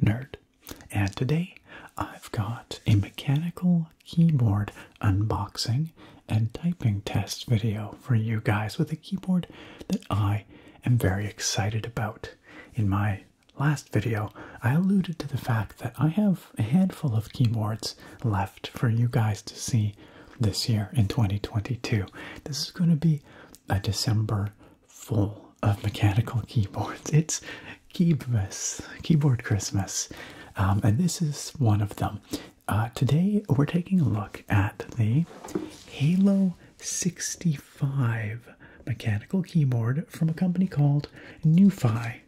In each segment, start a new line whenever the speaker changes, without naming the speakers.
Nerd. And today I've got a mechanical keyboard unboxing and typing test video for you guys with a keyboard that I am very excited about. In my last video, I alluded to the fact that I have a handful of keyboards left for you guys to see this year in 2022. This is going to be a December full of mechanical keyboards. It's Keybmas, Keyboard Christmas, um, and this is one of them. Uh, today we're taking a look at the Halo 65 mechanical keyboard from a company called Newfi.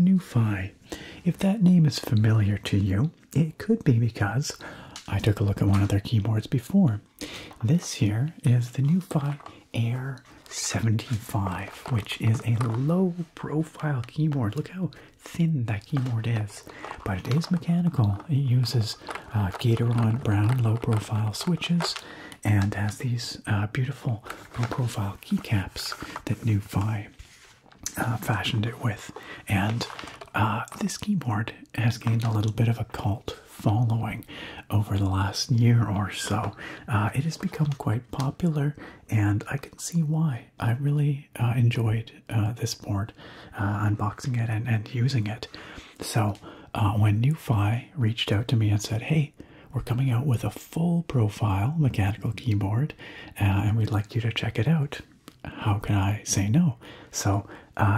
Newfi. If that name is familiar to you, it could be because I took a look at one of their keyboards before. This here is the Newfi Air 75, which is a low profile keyboard. Look how thin that keyboard is, but it is mechanical. It uses uh, Gatoron brown low profile switches and has these uh, beautiful low profile keycaps that NuFi uh, fashioned it with. And uh, this keyboard has gained a little bit of a cult following over the last year or so. Uh, it has become quite popular, and I can see why. I really uh, enjoyed uh, this board, unboxing it and, and using it. So, when NuFi reached out to me and said, Hey, we're coming out with a full profile mechanical keyboard, and we'd like you to check it out. How can I say no? So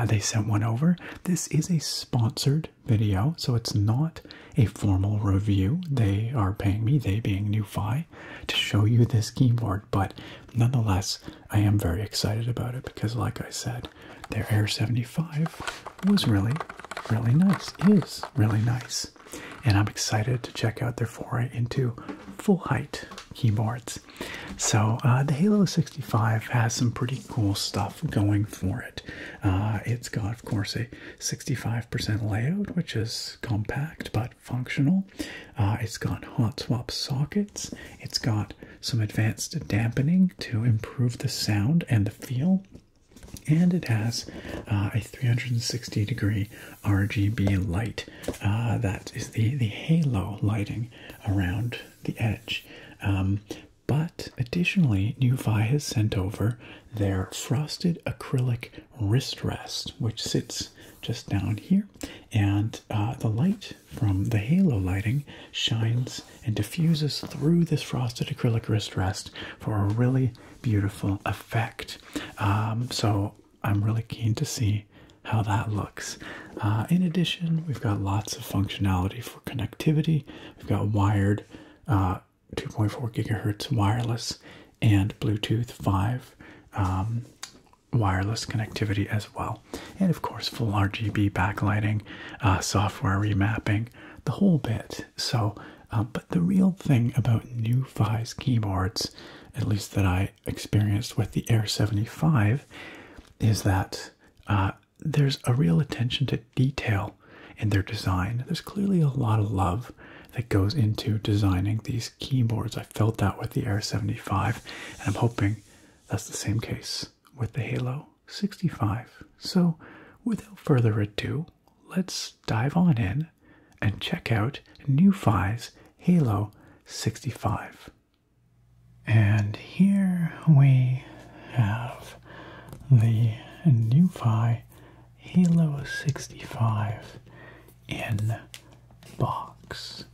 they sent one over. This is a sponsored video, so it's not a formal review. They are paying me, they being NuFi, to show you this keyboard, but nonetheless, I am very excited about it because, like I said, their Air 75 was really, really nice, is really nice. And I'm excited to check out their foray into full height keyboards. So, uh, the Halo 65 has some pretty cool stuff going for it. Uh, it's got, of course, a 65% layout, which is compact but functional. Uh, it's got hot swap sockets. It's got some advanced dampening to improve the sound and the feel. And it has uh, a 360 degree RGB light. Uh, that is the, the halo lighting around the edge. Um, but additionally, Nuvei has sent over their frosted acrylic wrist rest, which sits just down here, and uh, the light from the halo lighting shines and diffuses through this frosted acrylic wrist rest for a really beautiful effect. Um, so I'm really keen to see how that looks. Uh, in addition, we've got lots of functionality for connectivity. We've got wired uh, 2.4 gigahertz wireless and Bluetooth 5 um, wireless connectivity as well. And of course, full RGB backlighting, uh, software remapping, the whole bit. So, um, but the real thing about new Fi's keyboards, at least that I experienced with the Air 75, is that uh, there's a real attention to detail in their design. There's clearly a lot of love that goes into designing these keyboards. I felt that with the Air 75, and I'm hoping that's the same case with the Halo 65. So, without further ado, let's dive on in and check out NuFi's Halo 65. And here we have the NuFi Halo 65 in box,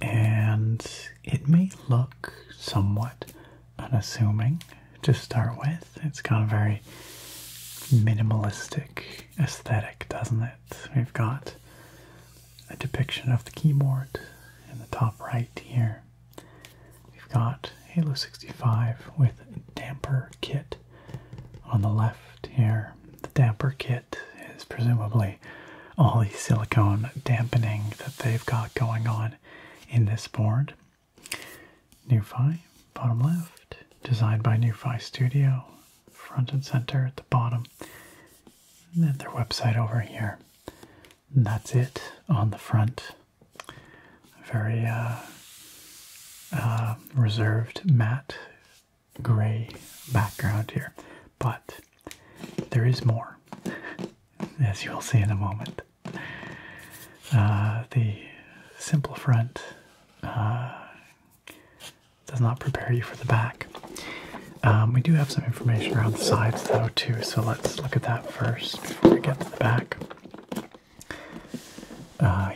and it may look somewhat unassuming to start with. It's got a very minimalistic aesthetic, doesn't it? We've got a depiction of the keyboard in the top right here. We've got Halo 65 with damper kit on the left here. The damper kit is presumably all the silicone dampening that they've got going on in this board. NuFi, bottom left, designed by NuFi Studio, front and center at the bottom. And then their website over here. And that's it on the front very uh, uh, reserved matte gray background here. But there is more, as you'll see in a moment. Uh, the simple front does not prepare you for the back. Um, we do have some information around the sides though too, so let's look at that first before we get to the back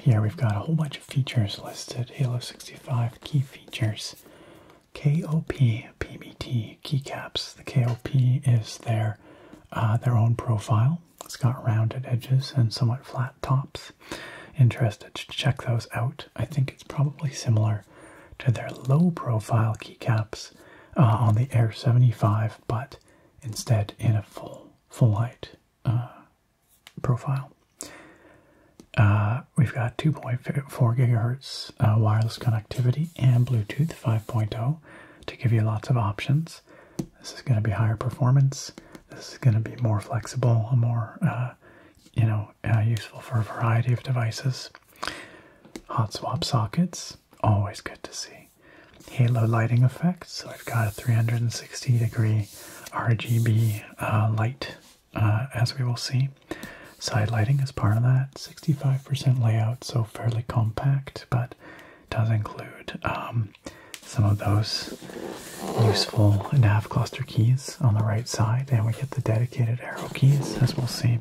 here uh, we've got a whole bunch of features listed Halo 65 key features, KOP, PBT, keycaps. The KOP is their, uh, their own profile. It's got rounded edges and somewhat flat tops. Interested to check those out. I think it's probably similar to their low profile keycaps uh, on the Air 75, but instead in a full full height uh, profile. Uh, we've got 2.4 gigahertz uh, wireless connectivity and Bluetooth 5.0 to give you lots of options. This is going to be higher performance. This is going to be more flexible, more you know useful for a variety of devices. Hot swap sockets, always good to see halo lighting effect. So I've got a 360 degree RGB uh, light, uh, as we will see. Side lighting is part of that. 65% layout, so fairly compact, but does include um, some of those useful nav cluster keys on the right side, and we get the dedicated arrow keys, as we'll see.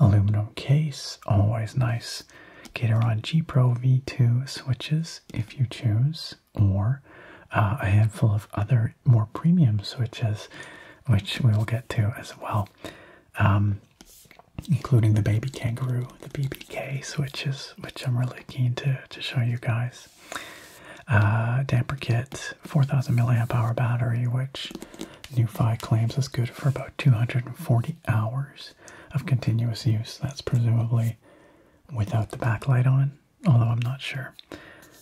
Aluminum case, always nice X, G Pro V2 switches if you choose, or uh, a handful of other more premium switches, which we will get to as well, um, including the Baby Kangaroo, the BBK switches, which I'm really keen to, to show you guys. Uh, damper kit, 4000 milliamp hour battery, which NuFi claims is good for about 240 hours of continuous use. That's presumably without the backlight on, although I'm not sure.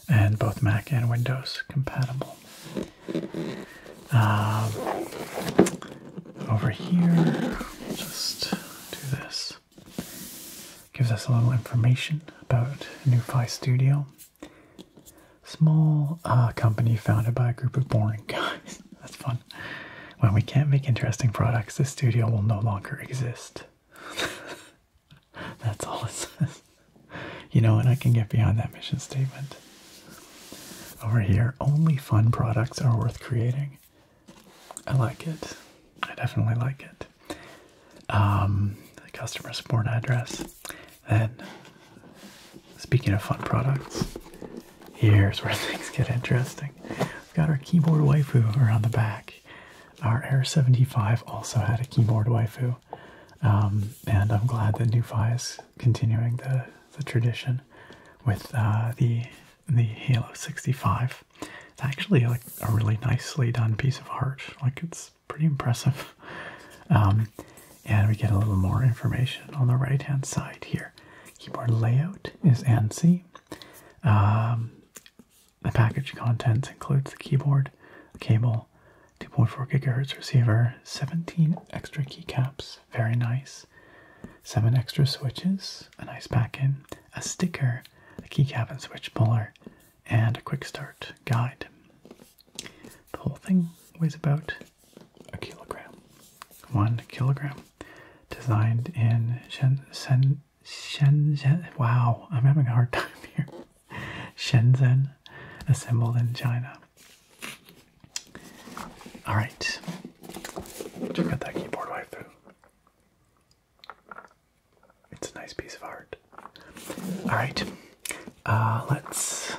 And both Mac and Windows compatible. Um, over here, just do this. Gives us a little information about NuFi Studio. Small uh, company founded by a group of boring guys. That's fun. When we can't make interesting products, the studio will no longer exist. That's all it says. You know, and I can get beyond that mission statement. Over here, only fun products are worth creating. I like it. I definitely like it. Um, the customer support address. And speaking of fun products, Here's where things get interesting. We've got our keyboard waifu around the back. Our Air 75 also had a keyboard waifu, um, and I'm glad that NuFi is continuing the, tradition with uh, the the Halo 65. It's actually like a really nicely done piece of art. Like it's pretty impressive. Um, and we get a little more information on the right hand side here. Keyboard layout is ANSI um, the package contents includes the keyboard, cable, 2.4 gigahertz receiver, 17 extra keycaps, very nice, 7 extra switches, a nice back in, a sticker, a keycap and switch puller, and a quick start guide. The whole thing weighs about a kilogram. One kilogram designed in Shenzhen. Wow, I'm having a hard time here. Shenzhen, assembled in China. All right, check that keyboard waifu. It's a nice piece of art. All right, uh, let's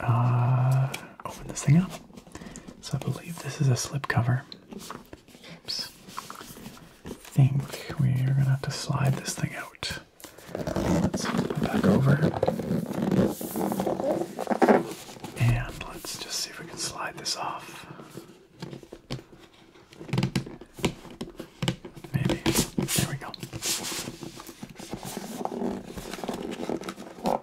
uh, open this thing up. So I believe this is a slipcover. Oops. I think we're gonna have to slide this thing out. Let's flip it back over. And let's just see if we can slide this off. Maybe. There we go.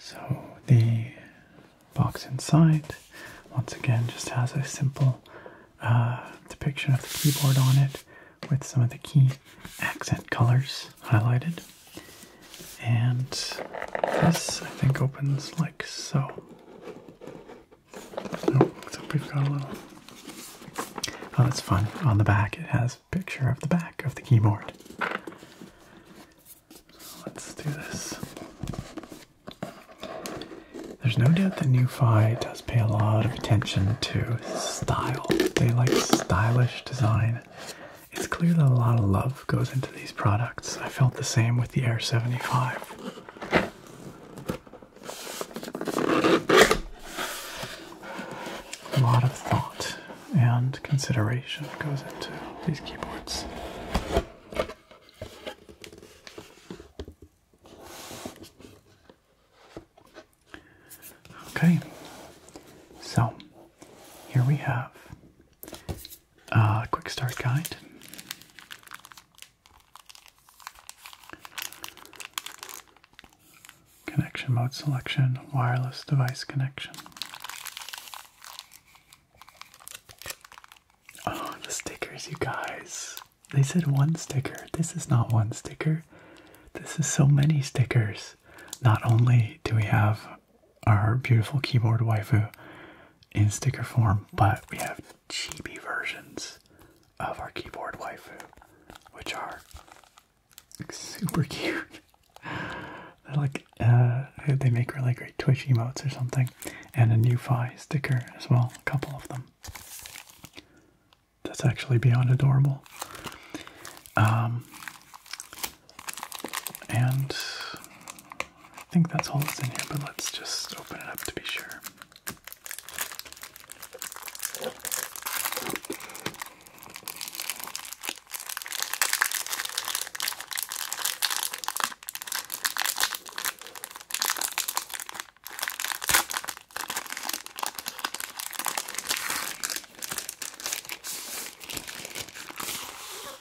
So the box inside, once again, just has a simple uh, depiction of the keyboard on it with some of the key accent colors highlighted. And this, I think, opens like so. Oh, that's fun. On the back, it has a picture of the back of the keyboard. let's do this. There's no doubt that NuFi does pay a lot of attention to style. They like stylish design. It's clear that a lot of love goes into these products. I felt the same with the Air 75. A lot of thought and consideration goes into these keyboards. Okay, so here we have uh, quick start guide. Connection mode selection, wireless device connection. Oh, the stickers, you guys. They said one sticker. This is not one sticker. This is so many stickers. Not only do we have our beautiful keyboard waifu in sticker form, but we have chibi versions of our keyboard waifu, which are super cute. They're like uh, they make really great Twitch emotes or something, and a new Fi sticker as well, a couple of them. That's actually beyond adorable. Um, and I think that's all that's in here, but let's just open it up to be sure.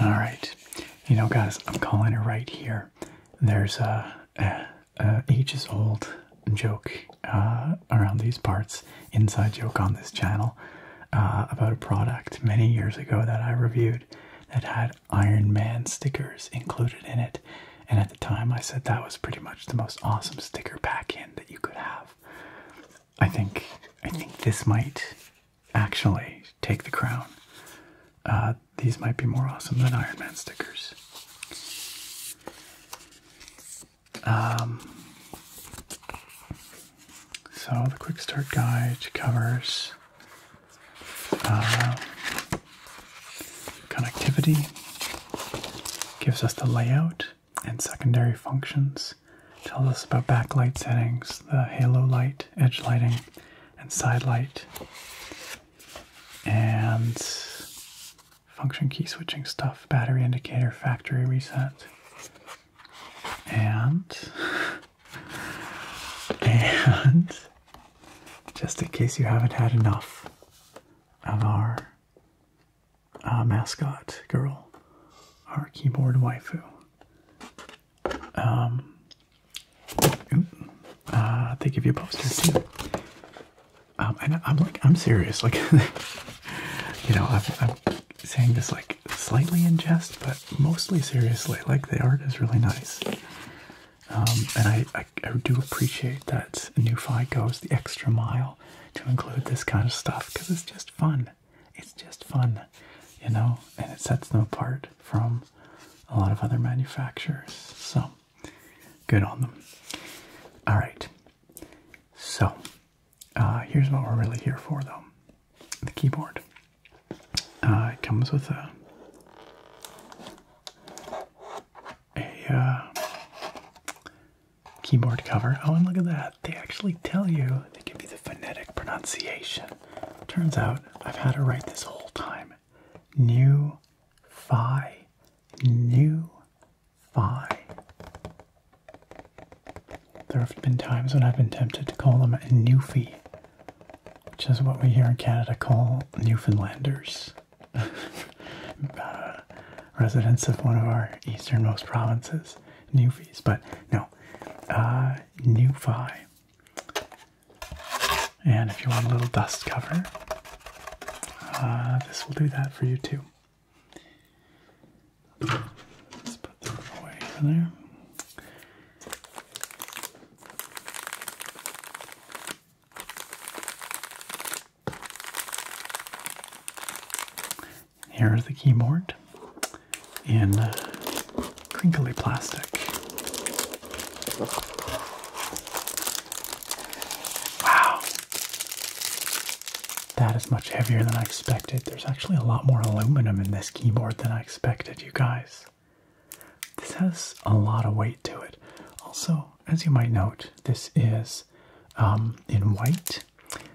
All right, you know, guys, I'm calling it right here. There's a, ages old joke uh, around these parts, inside joke on this channel uh, about a product many years ago that I reviewed that had Iron Man stickers included in it. And at the time, I said that was pretty much the most awesome sticker pack in that you could have. I think I think this might actually take the crown. Uh, these might be more awesome than Iron Man stickers. Um, so the quick start guide covers uh, connectivity, gives us the layout and secondary functions, tells us about backlight settings, the halo light, edge lighting, and side light, and function key switching stuff, battery indicator, factory reset, and and just in case you haven't had enough of our uh, mascot girl, our keyboard waifu. Um, uh, they give you posters too. Um, and I'm like, I'm serious. Like, you know, I'm, saying this like slightly in jest, but mostly seriously. Like, the art is really nice. Um, and I, I, do appreciate that NuFi goes the extra mile to include this kind of stuff because it's just fun. It's just fun, you know, and it sets them apart from a lot of other manufacturers. So good on them. All right. So uh, here's what we're really here for, though the keyboard. Uh, it comes with a uh, keyboard cover. Oh, and look at that. They actually tell you, they give you the phonetic pronunciation. Turns out I've had to write this whole time. New Phi. New Phi. There have been times when I've been tempted to call them a Newfie, which is what we here in Canada call Newfoundlanders. residents of one of our easternmost provinces, Newfies. But no, uh, And if you want a little dust cover, uh, this will do that for you too. Let's put them away in there. Here is the keyboard in crinkly plastic. Wow. That is much heavier than I expected. There's actually a lot more aluminum in this keyboard than I expected, you guys. This has a lot of weight to it. Also, as you might note, this is um, in white.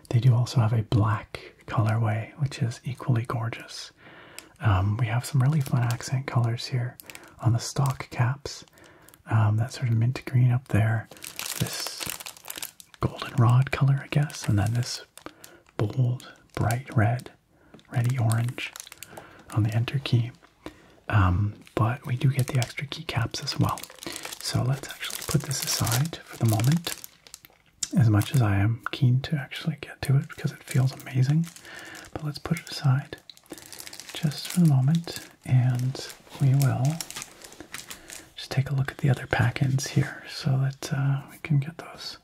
They do also have a black colorway, which is equally gorgeous. Um, we have some really fun accent colors here on the stock caps. Um, that sort of mint green up there, this goldenrod color, I guess, and then this bold, bright red, ready orange on the enter key. Um, but we do get the extra keycaps as well. So let's actually put this aside for the moment. As much as I am keen to actually get to it because it feels amazing, but let's put it aside just for the moment and we will just take a look at the other pack ends here so that uh, we can get those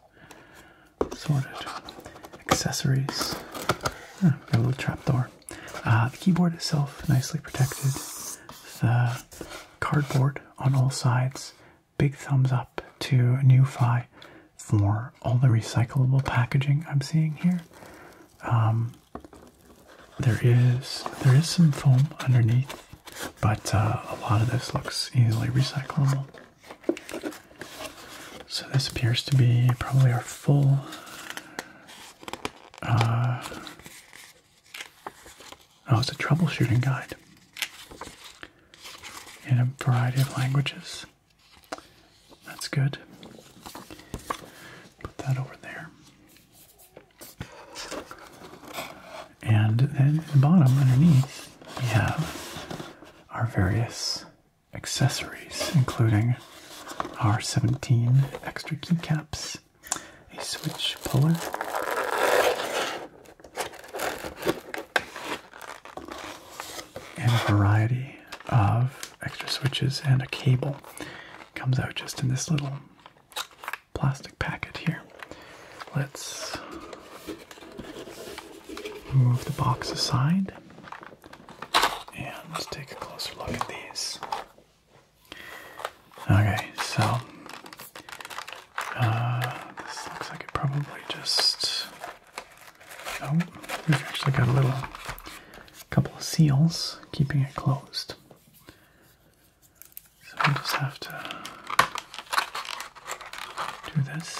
sort of Accessories. got ah, a little trap door. Uh, the keyboard itself nicely protected. The cardboard on all sides. Big thumbs up to NuFi for all the recyclable packaging I'm seeing here. Um, there is there is some foam underneath, but uh, a lot of this looks easily recyclable. So this appears to be probably our full uh, oh, it's a troubleshooting guide in a variety of languages. That's good. Put that over there. And then at the bottom underneath, we have our various accessories, including our 17 extra keycaps a switch puller. And a variety of extra switches and a cable comes out just in this little plastic packet here. Let's move the box aside and let's take a closer look at these. Okay, so uh, this looks like it probably just. Oh, we've actually got a little couple of seals keeping it closed. So we just have to do this.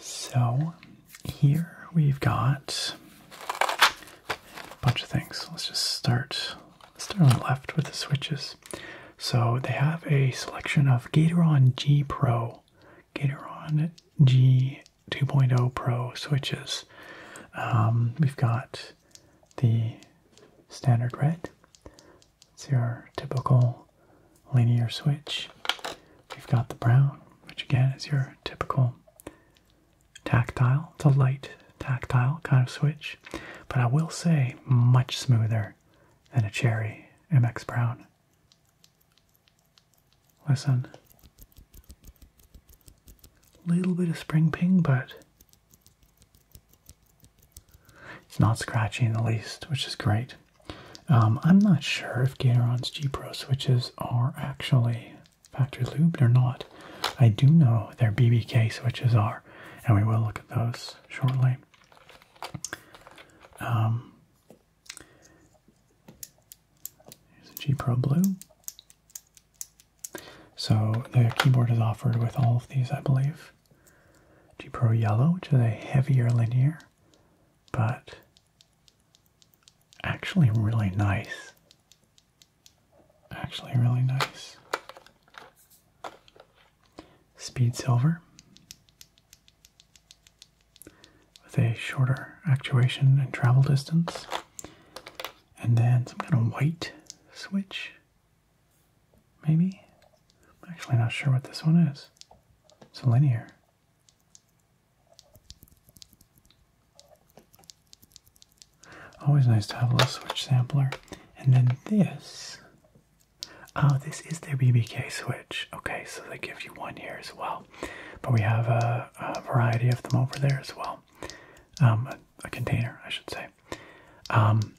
So here we've got a bunch of things. Let's just start. Let's start on the left with the switches. So they have a selection of Gatoron G Pro, Gatoron G 2.0 Pro switches. Um, we've got the standard red, it's your typical linear switch. We've got the brown, which again is your typical tactile. It's a light tactile kind of switch, but I will say much smoother than a Cherry MX Brown. Listen. Little bit of spring ping, but it's not scratchy in the least, which is great. Um, I'm not sure if Gatoron's G Pro switches are actually factory lubed or not. I do know their BBK switches are, and we will look at those shortly. Um, here's a G Pro Blue. So the keyboard is offered with all of these, I believe. G Pro Yellow, which is a heavier linear, but actually really nice. Actually, really nice. Speed Silver with a shorter actuation and travel distance, and then some kind of white switch Maybe? I'm actually not sure what this one is. It's a linear. Always nice to have a little switch sampler. And then this. Oh, this is the BBK switch. Okay, so they give you one here as well. But we have a, variety of them over there as well. Um, a, container, I should say. Um,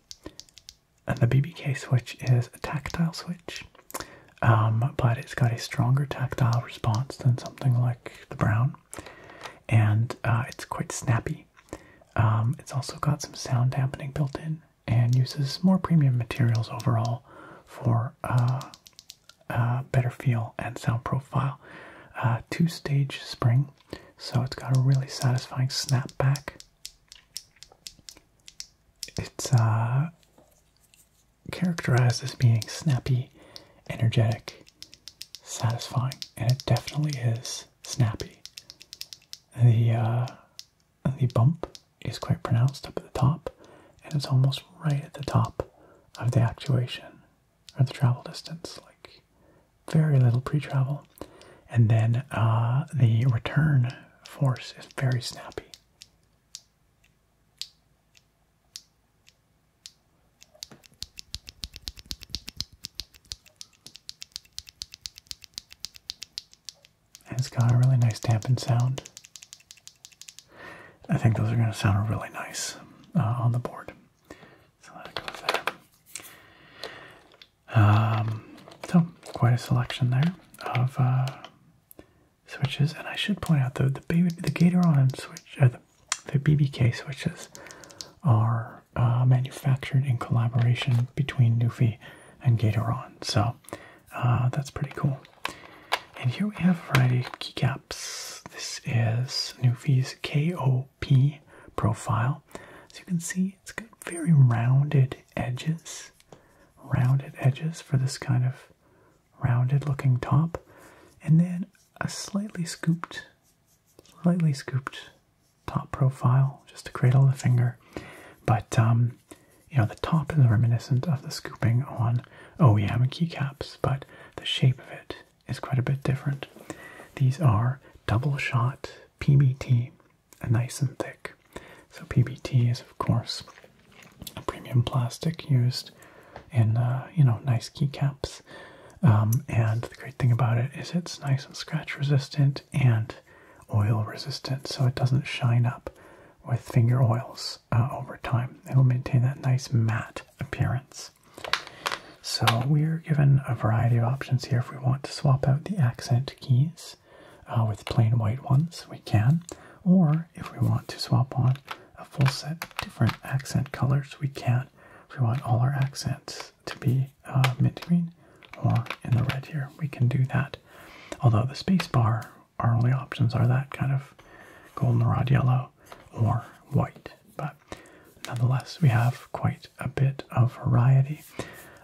and the BBK switch is a tactile switch, um, but it's got a stronger tactile response than something like the Brown, and uh, it's quite snappy. Um, it's also got some sound dampening built in and uses more premium materials overall for uh, uh better feel and sound profile. Uh, two stage spring, so it's got a really satisfying snap back. It's uh, characterized as being snappy, energetic, satisfying, and it definitely is snappy. The uh, the bump is quite pronounced up at the top, and it's almost right at the top of the actuation or the travel distance. Like very little pre-travel. And then uh, the return force is very snappy. it's got a really nice dampened sound. I think those are going to sound really nice uh, on the board. So that goes there. Um, so quite a selection there of uh, switches, and I should point out though the the Gatoron switch, uh, the, the BBK switches are uh, manufactured in collaboration between Newfie and Gatoron, so that's pretty cool. And here we have a variety of keycaps. This is Newfie's KOP profile. As you can see, it's got very rounded edges rounded edges for this kind of rounded looking top, and then a slightly scooped, slightly scooped top profile just to cradle the finger. But um, you know, the top is reminiscent of the scooping on Oh Yeah OEM keycaps, but the shape of it is quite a bit different. These are double shot PBT nice and thick. So PBT is of course a premium plastic used in uh, you know nice keycaps. Um, and the great thing about it is it's nice and scratch resistant and oil resistant, so it doesn't shine up with finger oils uh, over time. It'll maintain that nice matte appearance. So we're given a variety of options here if we want to swap out the accent keys. Uh, with plain white ones, we can. Or if we want to swap on a full set of different accent colors, we can. If we want all our accents to be uh, mint green or in the red here, we can do that. Although the space bar, our only options are that kind of goldenrod yellow or white. But nonetheless, we have quite a bit of variety.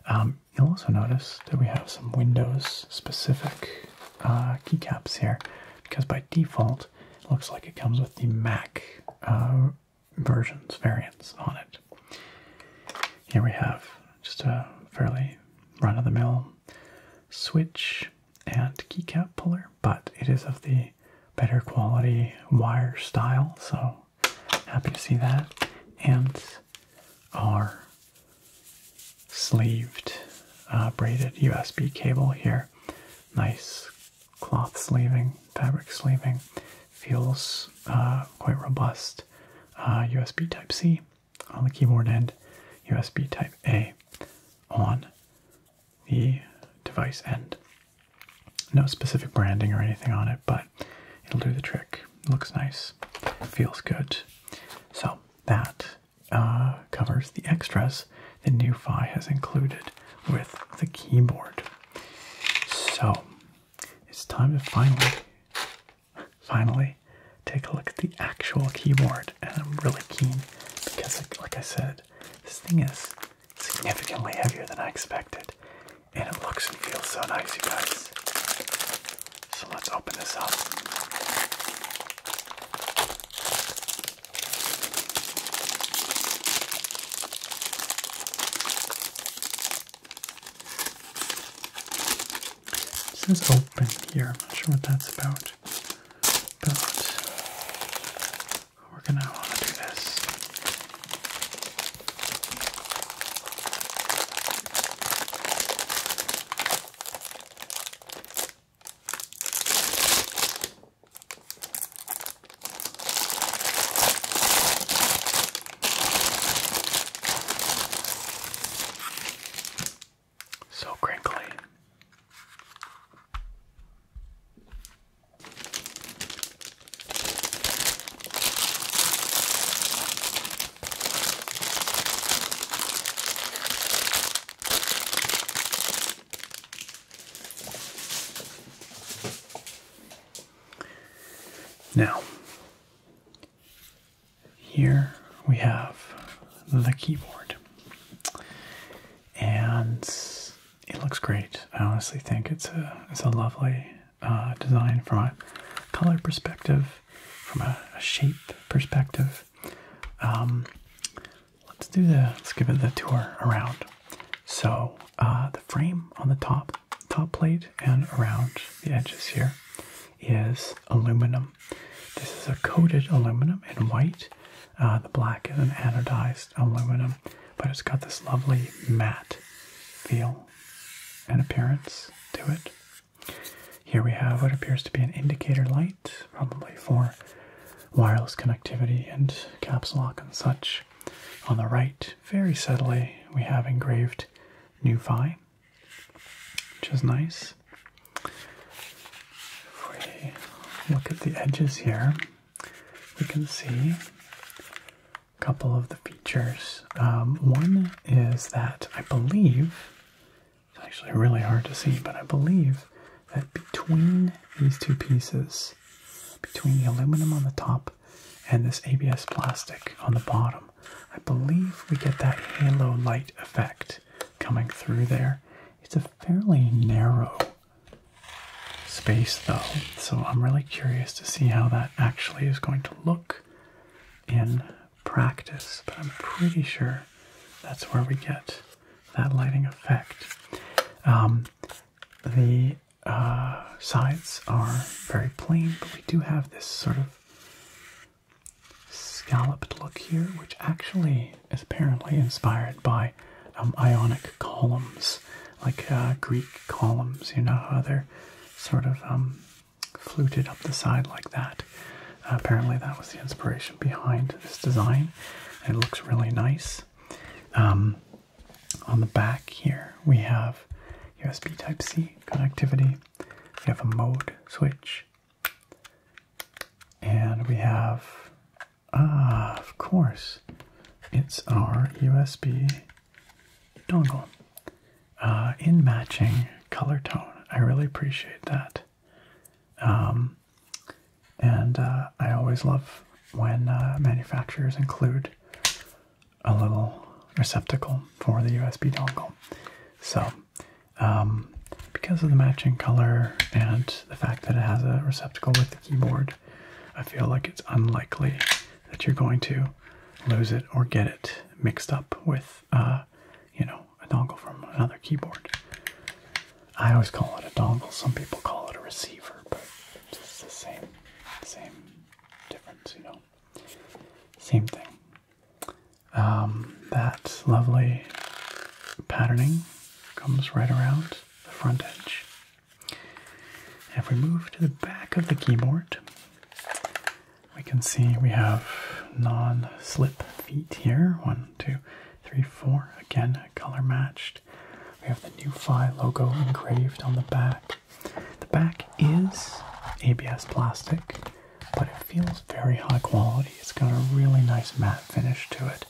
Um, you'll also notice that we have some Windows specific uh, keycaps here because by default it looks like it comes with the Mac uh, versions variants on it. Here we have just a fairly run of the mill switch and keycap puller, but it is of the better quality wire style, so Happy to see that. Ants are sleeved, uh, braided USB cable here. Nice cloth sleeving, fabric sleeving. Feels uh, quite robust. USB uh, Type C on the keyboard end, USB Type A on the device end. No specific branding or anything on it, but it'll do the trick. Looks nice. Feels good. So that uh, covers the extras the new NuFi has included with the keyboard. So it's time to finally, finally take a look at the actual keyboard. And I'm really keen because, like I said, this thing is significantly heavier than I expected. And it looks and feels so nice, you guys. So let's open this up. It says open here. I'm not sure what that's about. But we're gonna want to do this. So crinkly. Now, here we have the keyboard, and it looks great. I honestly think it's a it's a lovely uh, design from a color perspective, from a, shape perspective. Um, let's do the let's give it the tour around. So uh, the frame on the top top plate and around the edges here is aluminum. This is a coated aluminum in white. Uh, the black is an anodized aluminum, but it's got this lovely matte feel and appearance to it. Here we have what appears to be an indicator light, probably for wireless connectivity and caps lock and such. On the right, very subtly, we have engraved "New NuFi, which is nice. If we look at the edges here, we can see a couple of the features um, one is that I believe, it's actually really hard to see, but I believe that between these two pieces, between the aluminum on the top and this ABS plastic on the bottom, I believe we get that halo light effect coming through there. It's a fairly narrow space though, so I'm really curious to see how that actually is going to look in practice, but I'm pretty sure that's where we get that lighting effect. Um, the uh, sides are very plain, but we do have this sort of scalloped look here, which actually is apparently inspired by um, Ionic columns, like uh, Greek columns. You know how they're sort of um, fluted up the side like that. apparently, that was the inspiration behind this design. It looks really nice. Um, on the back here, we have USB Type C connectivity. We have a mode switch, and we have ah, of course, it's our USB dongle. Uh, in matching color tone. I really appreciate that. Um, and uh, I always love when uh, manufacturers include a little receptacle for the USB dongle. So, um, because of the matching color and the fact that it has a receptacle with the keyboard, I feel like it's unlikely that you're going to lose it or get it mixed up with you know, a dongle from another keyboard. I always call it a dongle. Some people call it a receiver, but it's the same, same difference, you know. Same thing. Um, that lovely patterning comes right around the front edge. If we move to the back of the keyboard, we can see we have non-slip feet here. One, two, three, four. Again, color matched. We have the new Phi logo engraved on the back. The back is ABS plastic, but it feels very high quality. It's got a really nice matte finish to it.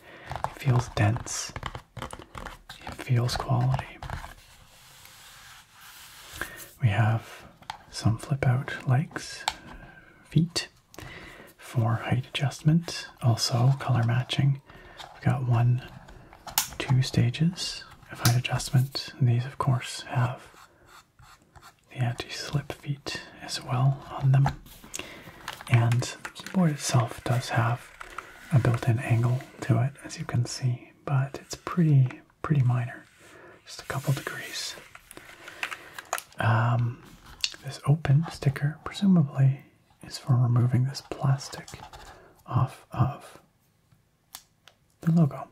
It feels dense. It feels quality. We have some flip out legs, feet for height adjustment, also color matching. We've got one, two stages of height adjustment. these, of course, have the anti slip feet as well on them. And the keyboard itself does have a built in angle to it, as you can see, but it's pretty pretty minor, just a couple degrees. Um, this open sticker presumably is for removing this plastic off of the logo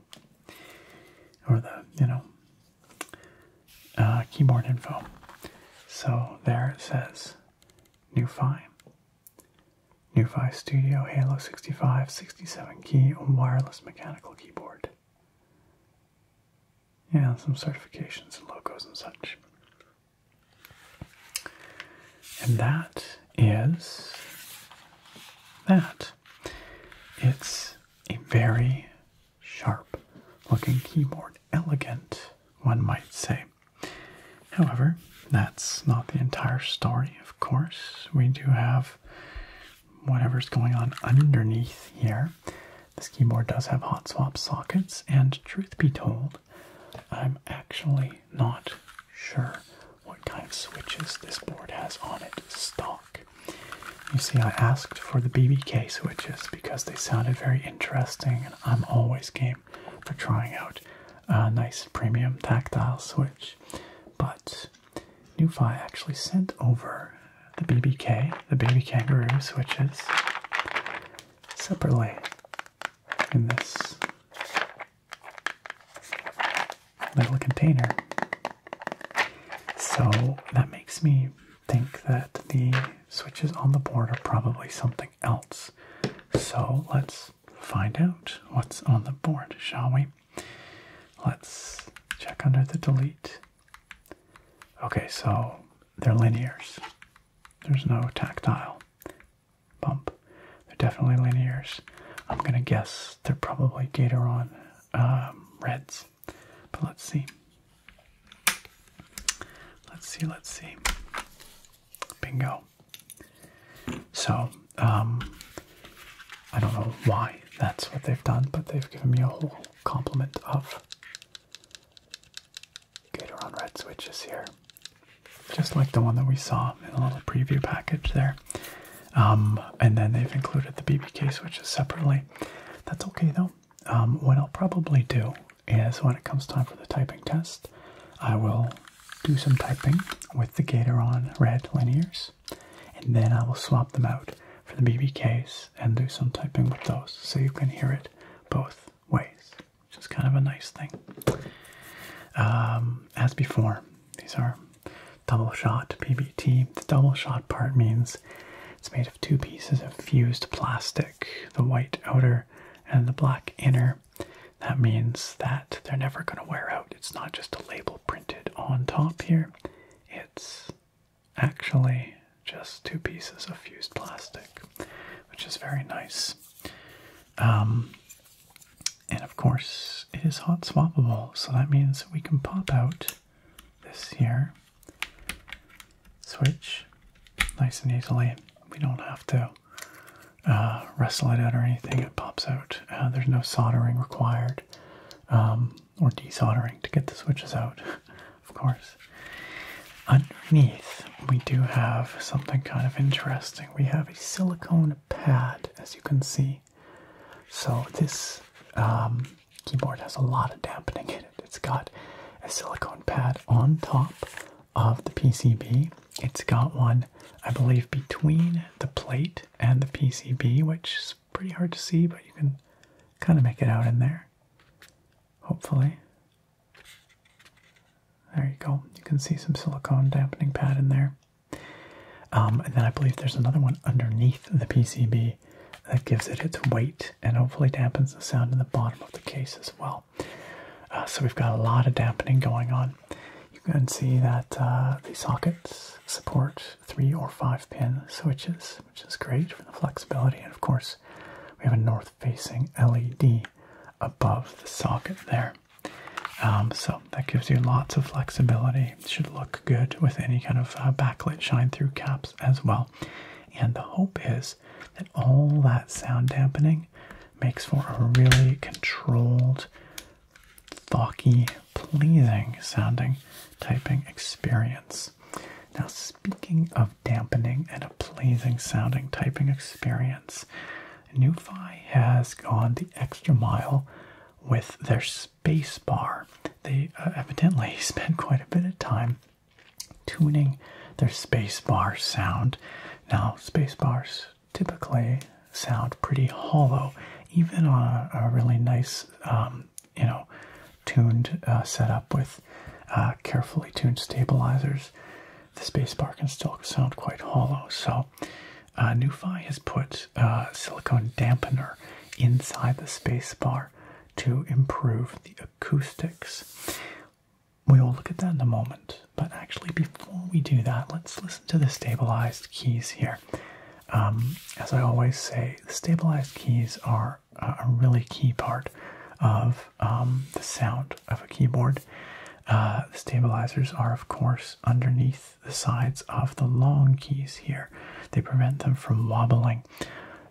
or the you know uh, keyboard info. So there it says NuFi, NuFi Studio Halo 65 67 key wireless mechanical keyboard. Yeah, some certifications and logos and such. And that is that. It's a very sharp looking keyboard, elegant, one might say. However, that's not the entire story, of course. We do have whatever's going on underneath here. This keyboard does have hot swap sockets, and truth be told, I'm actually not sure what kind of switches this board has on it stock. You see, I asked for the BBK switches because they sounded very interesting, and I'm always game for trying out a nice premium tactile switch. But Nufi actually sent over the BBK, the baby kangaroo switches, separately in this little container. So that makes me think that the switches on the board are probably something else. So let's find out what's on the board, shall we? Let's check under the delete. Okay, so they're linears. There's no tactile bump. They're definitely linears. I'm gonna guess they're probably Gatoron um, reds, but let's see. Let's see, let's see. Bingo. So, um, I don't know why that's what they've done, but they've given me a whole complement of Gatoron Red switches here. Just like the one that we saw in a little preview package there. Um, and then they've included the BBK switches separately. That's okay though. Um, what I'll probably do is when it comes time for the typing test, I will do some typing with the Gatoron Red linears and then I will swap them out for the BB case and do some typing with those so you can hear it both ways, which is kind of a nice thing. Um, as before, these are double shot PBT. The double shot part means it's made of two pieces of fused plastic, the white outer and the black inner. That means that they're never going to wear out. It's not just a label printed on top here, it's actually just two pieces of fused plastic, which is very nice. Um, and of course, it is hot swappable, so that means we can pop out this here switch nice and easily. We don't have to uh, wrestle it out or anything, it pops out. Uh, there's no soldering required. Um, or desoldering to get the switches out, of course. Underneath, we do have something kind of interesting. We have a silicone pad, as you can see. So this um, keyboard has a lot of dampening in it. It's got a silicone pad on top of the PCB. It's got one, I believe, between the plate and the PCB, which pretty hard to see, but you can kind of make it out in there. Hopefully. There you go. You can see some silicone dampening pad in there. Um, and then I believe there's another one underneath the PCB that gives it its weight and hopefully dampens the sound in the bottom of the case as well. Uh, so we've got a lot of dampening going on. You can see that uh, the sockets support three or five pin switches, which is great for the flexibility. And of course, we have a north facing LED above the socket there. Um, so that gives you lots of flexibility. should look good with any kind of uh, backlit shine through caps as well. And the hope is that all that sound dampening makes for a really controlled Thawky, pleasing sounding typing experience. Now, speaking of dampening and a pleasing sounding typing experience, NuFi has gone the extra mile with their spacebar. They uh, evidently spent quite a bit of time tuning their spacebar sound. Now, spacebars typically sound pretty hollow, even on a, really nice um, you know, tuned uh, setup with uh, carefully tuned stabilizers, the space bar can still sound quite hollow. So, uh, NuFi has put a uh, silicone dampener inside the space bar to improve the acoustics. We will look at that in a moment. But actually, before we do that, let's listen to the stabilized keys here. Um, as I always say, the stabilized keys are a really key part of um, the sound of a keyboard. Uh, the stabilizers are, of course, underneath the sides of the long keys here. They prevent them from wobbling.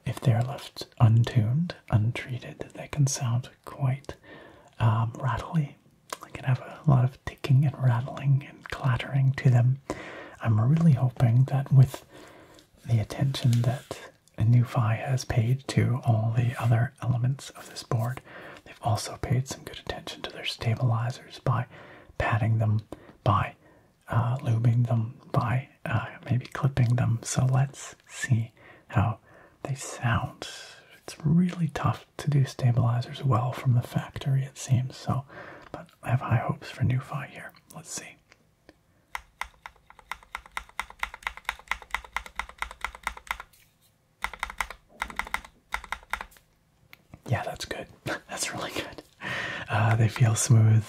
If they're left untuned, untreated, they can sound quite um, rattly. They can have a lot of ticking and rattling clattering to them. I'm really hoping that with the attention that NuFi has paid to all the other elements of this board, they've also paid some good attention to their stabilizers by patting them, by uh, lubing them, by uh, maybe clipping them. So let's see how they sound. It's really tough to do stabilizers well from the factory, it seems. So, but I have high hopes for Nufi here. Let's see. Yeah, that's good. that's really good. Uh, they feel smooth.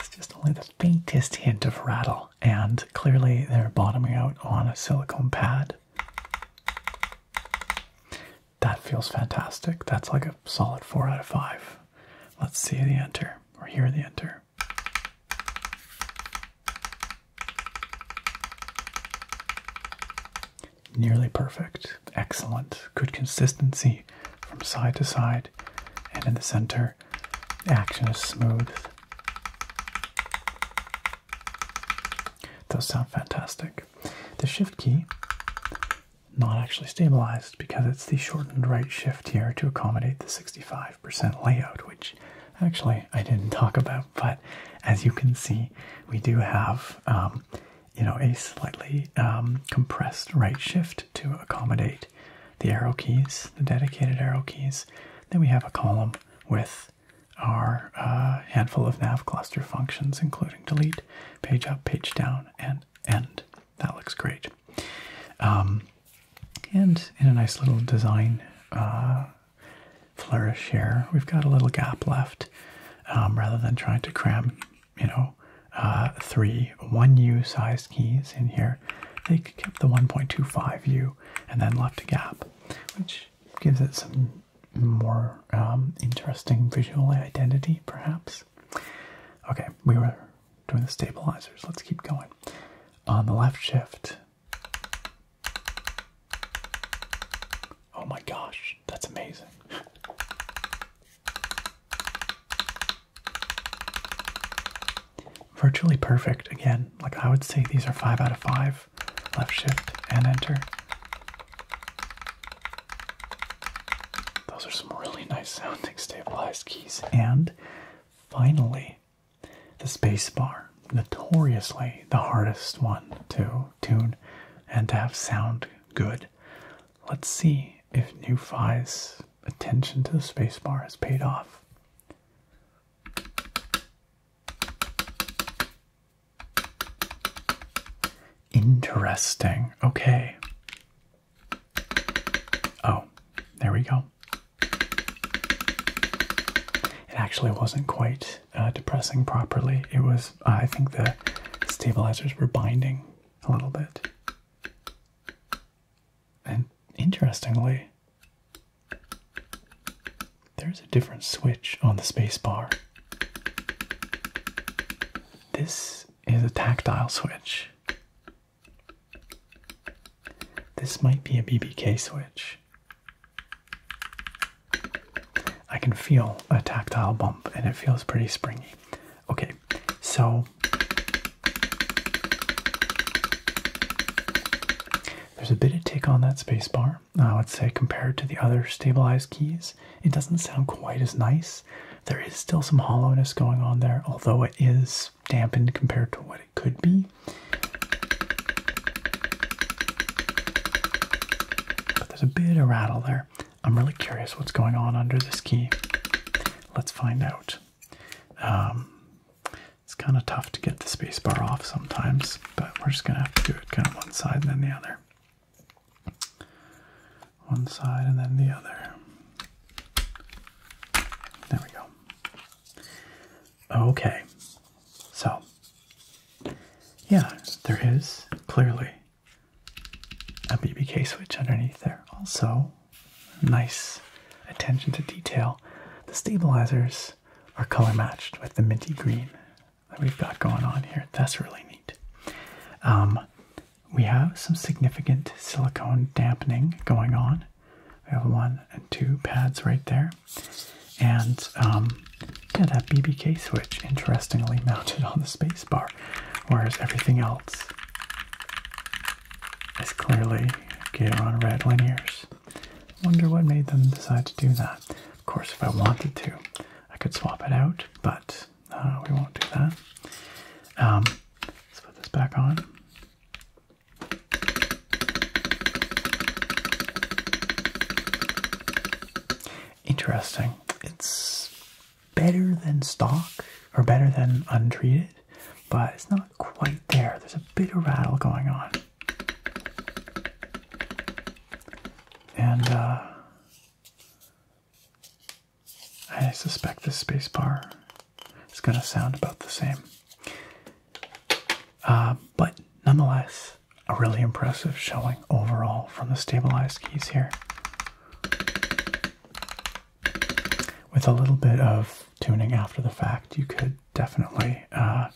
It's just only the faintest hint of rattle, and clearly they're bottoming out on a silicone pad. That feels fantastic. That's like a solid 4 out of 5. Let's see the enter or hear the enter. Nearly perfect. Excellent. Good consistency from side to side and in the center. The action is smooth. Those sound fantastic. The shift key not actually stabilized because it's the shortened right shift here to accommodate the 65% layout, which actually I didn't talk about, but as you can see, we do have, um, you know, a slightly um, compressed right shift to accommodate the arrow keys, the dedicated arrow keys. Then we have a column with our uh, handful of nav cluster functions, including delete, page up, page down, and end. That looks great. Um, and in a nice little design uh, flourish here, we've got a little gap left um, rather than trying to cram, you know, uh, three 1U size keys in here. They kept the 1.25U and then left a gap, which gives it some more um, interesting visual identity, perhaps. Okay, we were doing the stabilizers. Let's keep going. On the left shift. Oh my gosh, that's amazing. Virtually perfect again. Like I would say these are 5 out of 5. Left shift and enter. Those are some really nice sounding stabilized keys. And finally, the spacebar. Notoriously the hardest one to tune and to have sound good. Let's see if NuFi's attention to the spacebar has paid off. Interesting. Okay. Oh, there we go. It actually wasn't quite uh, depressing properly. It was, uh, I think the stabilizers were binding a little bit. And interestingly, there's a different switch on the spacebar. This is a tactile switch. This might be a BBK switch. I can feel a tactile bump and it feels pretty springy. Okay, so there's a bit of tick on that spacebar. I would say compared to the other stabilized keys. It doesn't sound quite as nice. There is still some hollowness going on there, although it is dampened compared to what it could be. But there's a bit of rattle there. I'm really curious what's going on under this key. Let's find out. Um, it's kind of tough to get the spacebar off sometimes, but we're just going to have to do it kind of one side and then the other. One side and then the other. There we go. Okay. So, yeah, there is clearly a BBK switch underneath there. Also, nice attention to detail. The stabilizers are color matched with the minty green that we've got going on here. That's really neat. Um, we have some significant silicone dampening going on. We have one and two pads right there. And um, yeah, that BBK switch, interestingly mounted on the spacebar, whereas everything else is clearly on Red Linears. Wonder what made them decide to do that. Of course, if I wanted to, I could swap it out, but we won't do that. Um, let's put this back on. Interesting. It's better than stock or better than untreated, but it's not quite there. There's a bit of rattle going on. And uh, I suspect this spacebar is going to sound about the same. Uh, but nonetheless, a really impressive showing overall from the stabilized keys here. With a little bit of tuning after the fact, you could definitely uh,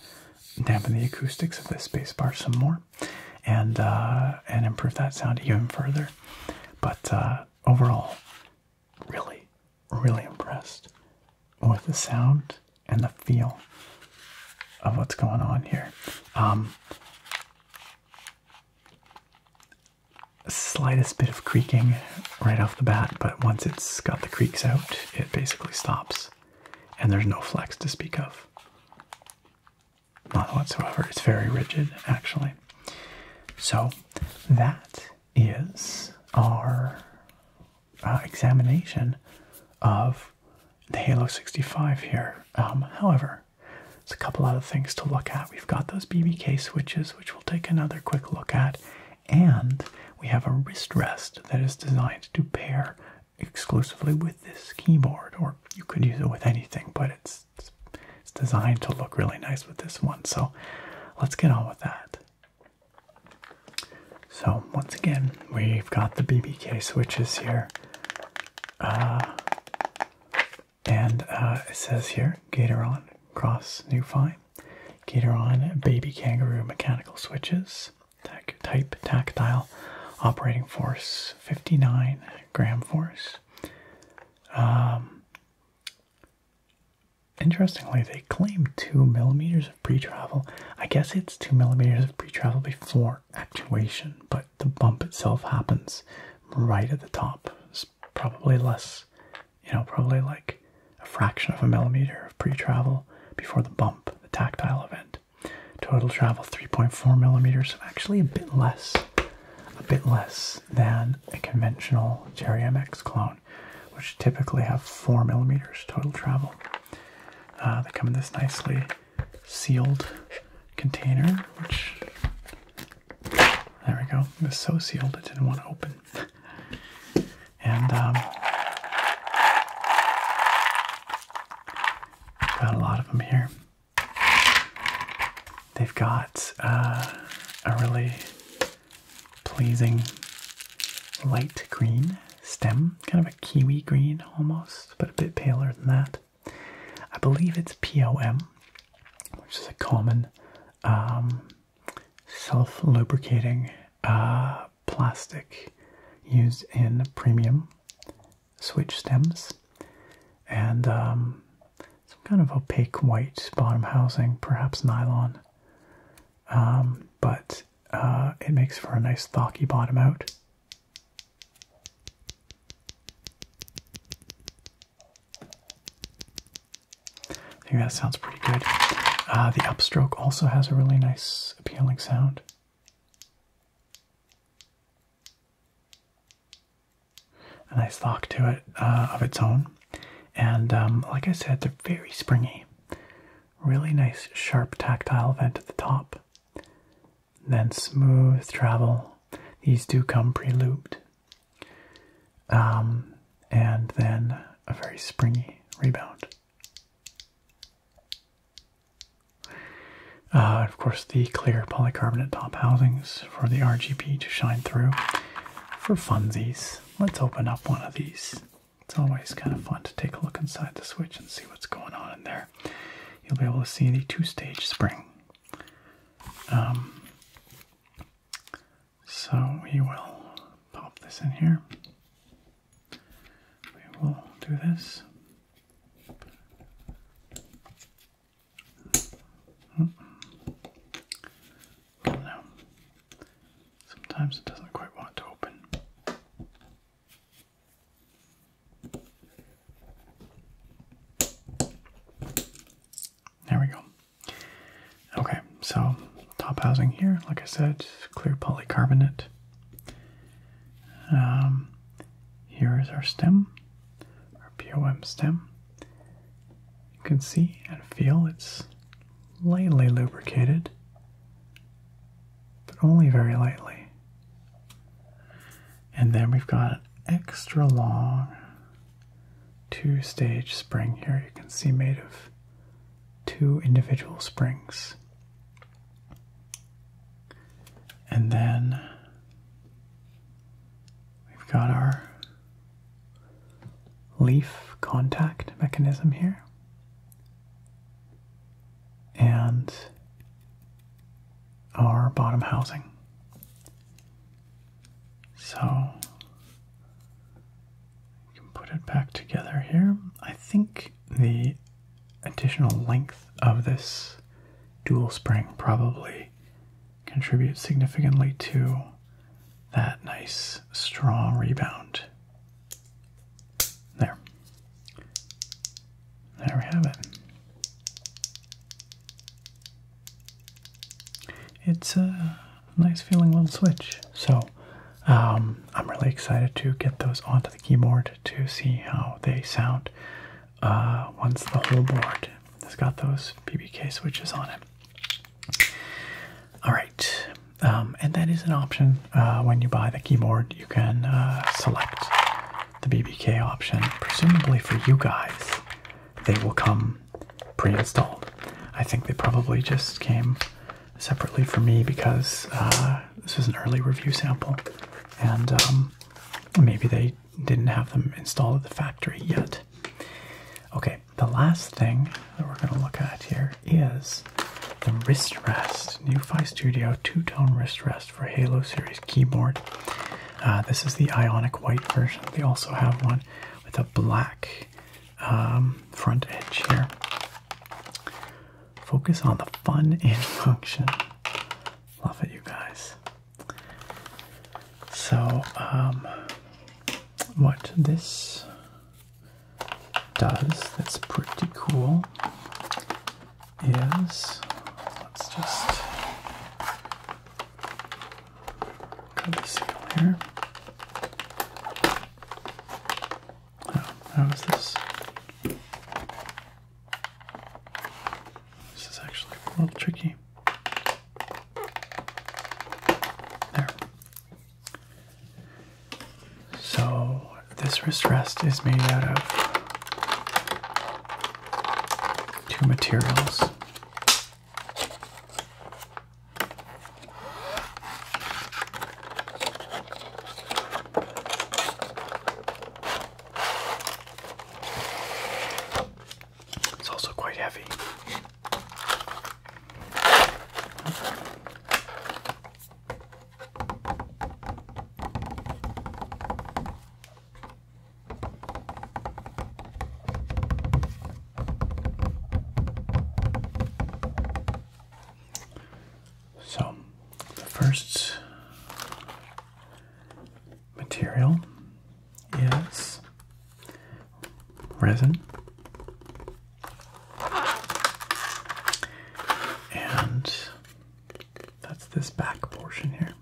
dampen the acoustics of this spacebar some more and uh, and improve that sound even further. But uh, overall, really, really impressed with the sound and the feel of what's going on here. Um, slightest bit of creaking right off the bat, but once it's got the creaks out, it basically stops, and there's no flex to speak of not whatsoever. It's very rigid, actually. So that is our uh, examination of the Halo 65 here. Um, however, there's a couple other things to look at. We've got those BBK switches, which we'll take another quick look at, and we have a wrist rest that is designed to pair exclusively with this keyboard, or you could use it with anything, but it's it's, designed to look really nice with this one. So let's get on with that. So once again, we've got the BBK switches here. Uh, and uh, it says here, Gatoron Cross New Fine. Gatoron Baby Kangaroo Mechanical Switches. Type Tactile Operating Force 59 gram force. Um, interestingly, they claim two millimeters of pre-travel. I guess it's two millimeters of pre-travel before actuation, but the bump itself happens right at the top. It's probably less, you know, probably like a fraction of a millimeter of pre-travel before the bump, the tactile event. Total travel 3.4 millimeters, so actually a bit less a bit less than a conventional Cherry MX clone, which typically have 4 millimeters total travel. Uh, they come in this nicely sealed container, which there we go. It was so sealed it didn't want to open. and um, got a lot of them here. They've got uh, a really pleasing light green stem, kind of a kiwi green almost, but a bit paler than that. I believe it's POM, which is a common um, self lubricating uh, plastic used in premium switch stems and um, some kind of opaque white bottom housing, perhaps nylon. Um, but uh, it makes for a nice thocky bottom out. I think that sounds pretty good. Uh, the upstroke also has a really nice appealing sound a nice lock to it uh, of its own. And um, like I said, they're very springy. Really nice, sharp, tactile vent at the top. Then smooth travel. These do come pre-looped. Um, and then a very springy rebound. Uh, of course, the clear polycarbonate top housings for the RGB to shine through. For funsies, let's open up one of these. It's always kind of fun to take a look inside the switch and see what's going on in there. You'll be able to see the two-stage spring. Um, so we will pop this in here. We will do this. Mm Sometimes it doesn't quite want to open. There we go. Okay, so top housing here, like I said, clear polycarbonate. Um, here is our stem. Our POM stem. You can see and feel it's lightly lubricated, but only very lightly. And then we've got an extra long two stage spring here, you can see made of two individual springs. And then We've got our leaf contact mechanism here. And our bottom housing. So we can put it back together here. I think the additional length of this dual spring probably contribute significantly to that nice strong rebound. There. There we have it. It's a nice feeling little switch. So um, I'm really excited to get those onto the keyboard to see how they sound. Uh, once the whole board has got those BBK switches on it. All right, um, and that is an option uh, when you buy the keyboard. You can uh, select the BBK option. Presumably for you guys, they will come pre-installed. I think they probably just came separately for me because this is an early review sample, and um, maybe they didn't have them installed at the factory yet. Okay, the last thing that we're going to look at here is the wrist rest, NuFi Studio two-tone wrist rest for Halo series keyboard. Uh, this is the Ionic White version. They also have one with a black um, front edge here. Focus on the fun and function. Love it, you guys. So, um, what this does that's pretty cool is let's just cut the seal here. Oh, how is this? This is actually a little tricky. There. So, this wrist rest is made out of two materials. It's also quite heavy. So, the first material Yes, resin and that's this back portion here.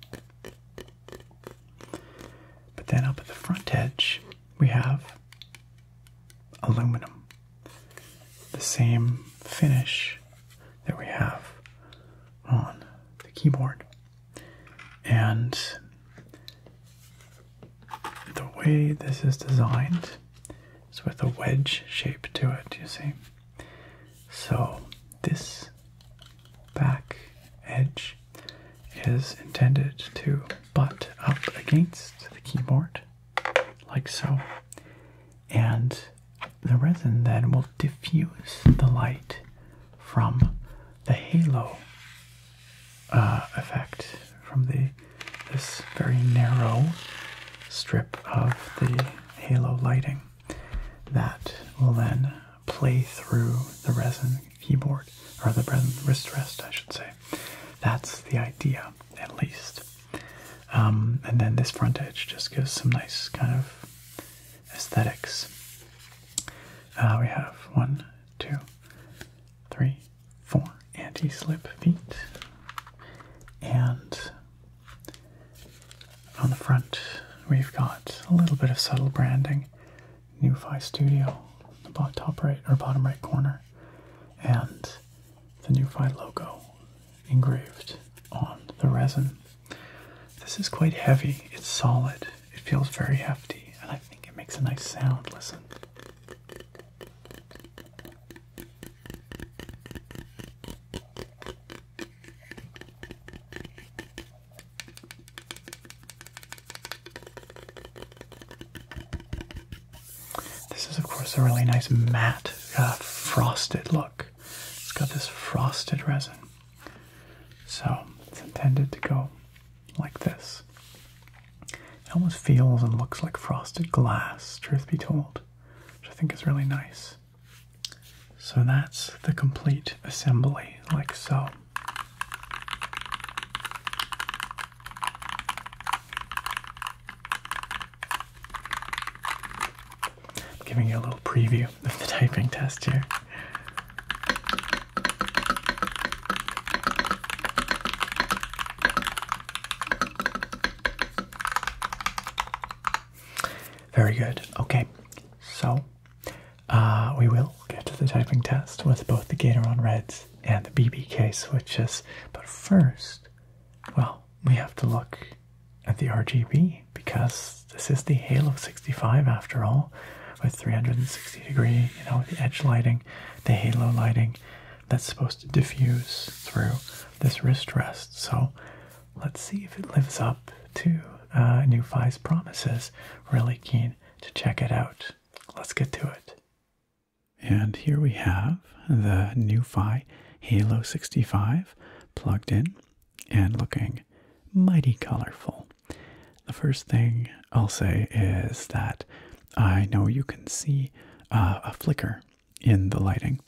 But then up at the front edge, we have aluminum. The same finish that we have on the keyboard. And the way this is designed is with a wedge shape to it, you see. So this back edge is intended to butt up against the keyboard, like so. And the resin then will diffuse the light from the halo uh, effect, from the this very narrow strip of the halo lighting that will then play through the resin keyboard or the resin wrist rest, I should say. That's the idea, at least. Um, and then this front edge just gives some nice kind of aesthetics. Uh, we have one, two, three, four anti-slip feet, and on the front we've got a little bit of subtle branding. NuFi Studio, the top right or bottom right corner, and the NuFi logo engraved on the resin. This is quite heavy. It's solid. It feels very hefty, and I think it makes a nice sound. Listen. This is, of course, a really nice matte, uh, frosted look. It's got this frosted resin. So it's intended to go like this. It almost feels and looks like frosted glass, truth be told, which I think is really nice. So that's the complete assembly, like so. giving you a little preview of the typing test here. Very good. Okay, so uh, we will get to the typing test with both the Gatoron Reds and the BBK switches, but first, well, we have to look at the RGB because this is the Halo 65 after all, with 360 degree, you know, the edge lighting, the halo lighting that's supposed to diffuse through this wrist rest. So let's see if it lives up to uh, promises. Really keen to check it out. Let's get to it. And here we have the New Halo 65 plugged in and looking mighty colorful. The first thing I'll say is that I know you can see uh, a flicker in the lighting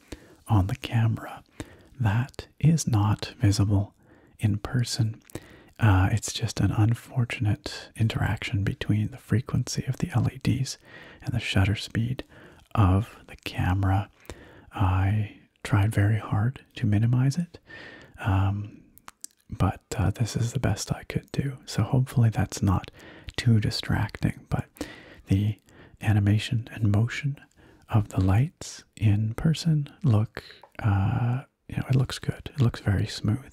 on the camera. That is not visible in person. Uh, it's just an unfortunate interaction between the frequency of the LEDs and the shutter speed of the camera. I tried very hard to minimize it. Um, but uh, this is the best I could do. So hopefully that's not too distracting. But the animation and motion of the lights in person look, uh, you know, it looks good. It looks very smooth.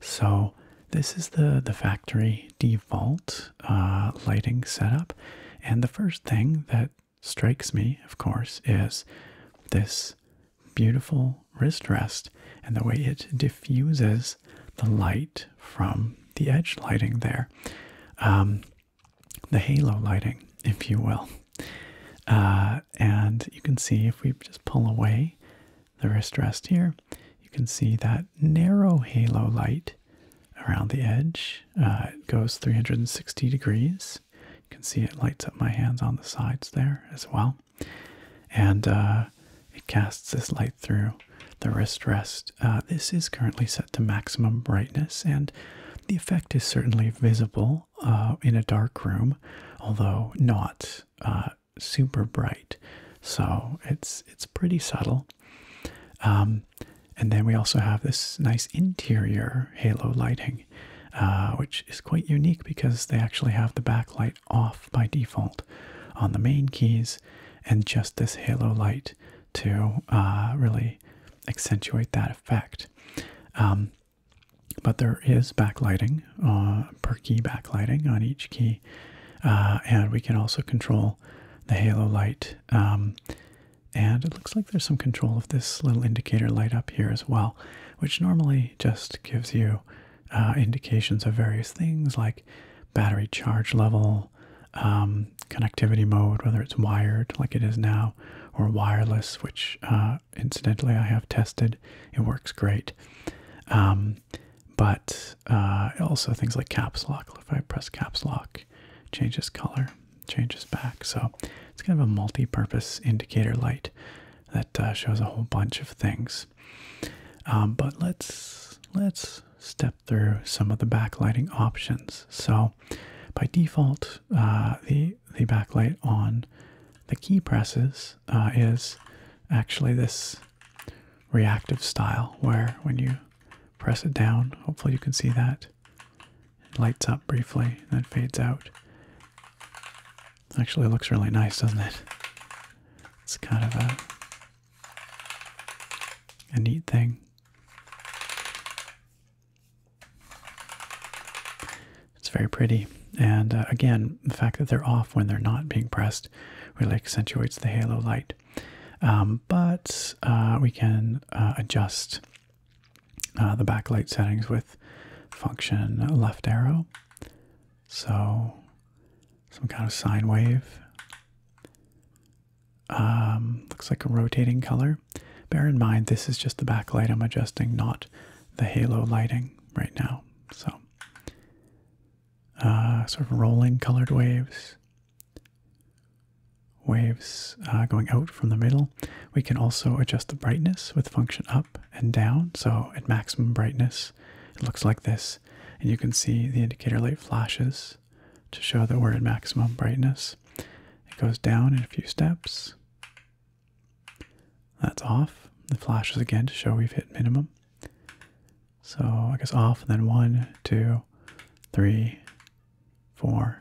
So this is the, the factory default uh, lighting setup. And the first thing that strikes me, of course, is this beautiful wrist rest and the way it diffuses the light from the edge lighting there, um, the halo lighting, if you will. Uh, and you can see if we just pull away the wrist rest here, you can see that narrow halo light around the edge. Uh, it goes 360 degrees you can see it lights up my hands on the sides there as well. And uh, it casts this light through the wrist rest. Uh, this is currently set to maximum brightness, and the effect is certainly visible uh, in a dark room, although not super bright. So it's it's pretty subtle. Um, and then we also have this nice interior halo lighting uh, which is quite unique because they actually have the backlight off by default on the main keys and just this halo light to uh, really accentuate that effect. Um, but there is backlighting, uh, per key backlighting on each key, and we can also control the halo light. Um, and it looks like there's some control of this little indicator light up here as well which normally just gives you uh, indications of various things like battery charge level, um, connectivity mode, whether it's wired like it is now or wireless, which uh, incidentally I have tested. It works great. Um, but uh, also things like caps lock. If I press caps lock, changes color changes back. So it's kind of a multi-purpose indicator light that uh, shows a whole bunch of things. Um, but let's let's step through some of the backlighting options. So by default, uh, the the backlight on the key presses uh, is actually this reactive style where when you press it down, hopefully you can see that lights up briefly, then fades out. Actually, looks really nice, doesn't it? It's kind of a a neat thing. It's very pretty, and uh, again, the fact that they're off when they're not being pressed really accentuates the halo light. Um, but uh, we can uh, adjust uh, the backlight settings with function left arrow. So some kind of sine wave. Um, looks like a rotating color. Bear in mind, this is just the backlight I'm adjusting, not the halo lighting right now. So, uh, sort of rolling colored waves, waves uh, going out from the middle, we can also adjust the brightness with function up and down. So at maximum brightness, it looks like this. And you can see the indicator light flashes to show that we're at maximum brightness. It goes down in a few steps. That's off. It flashes again to show we've hit minimum. So I guess off, then one, two, three, four,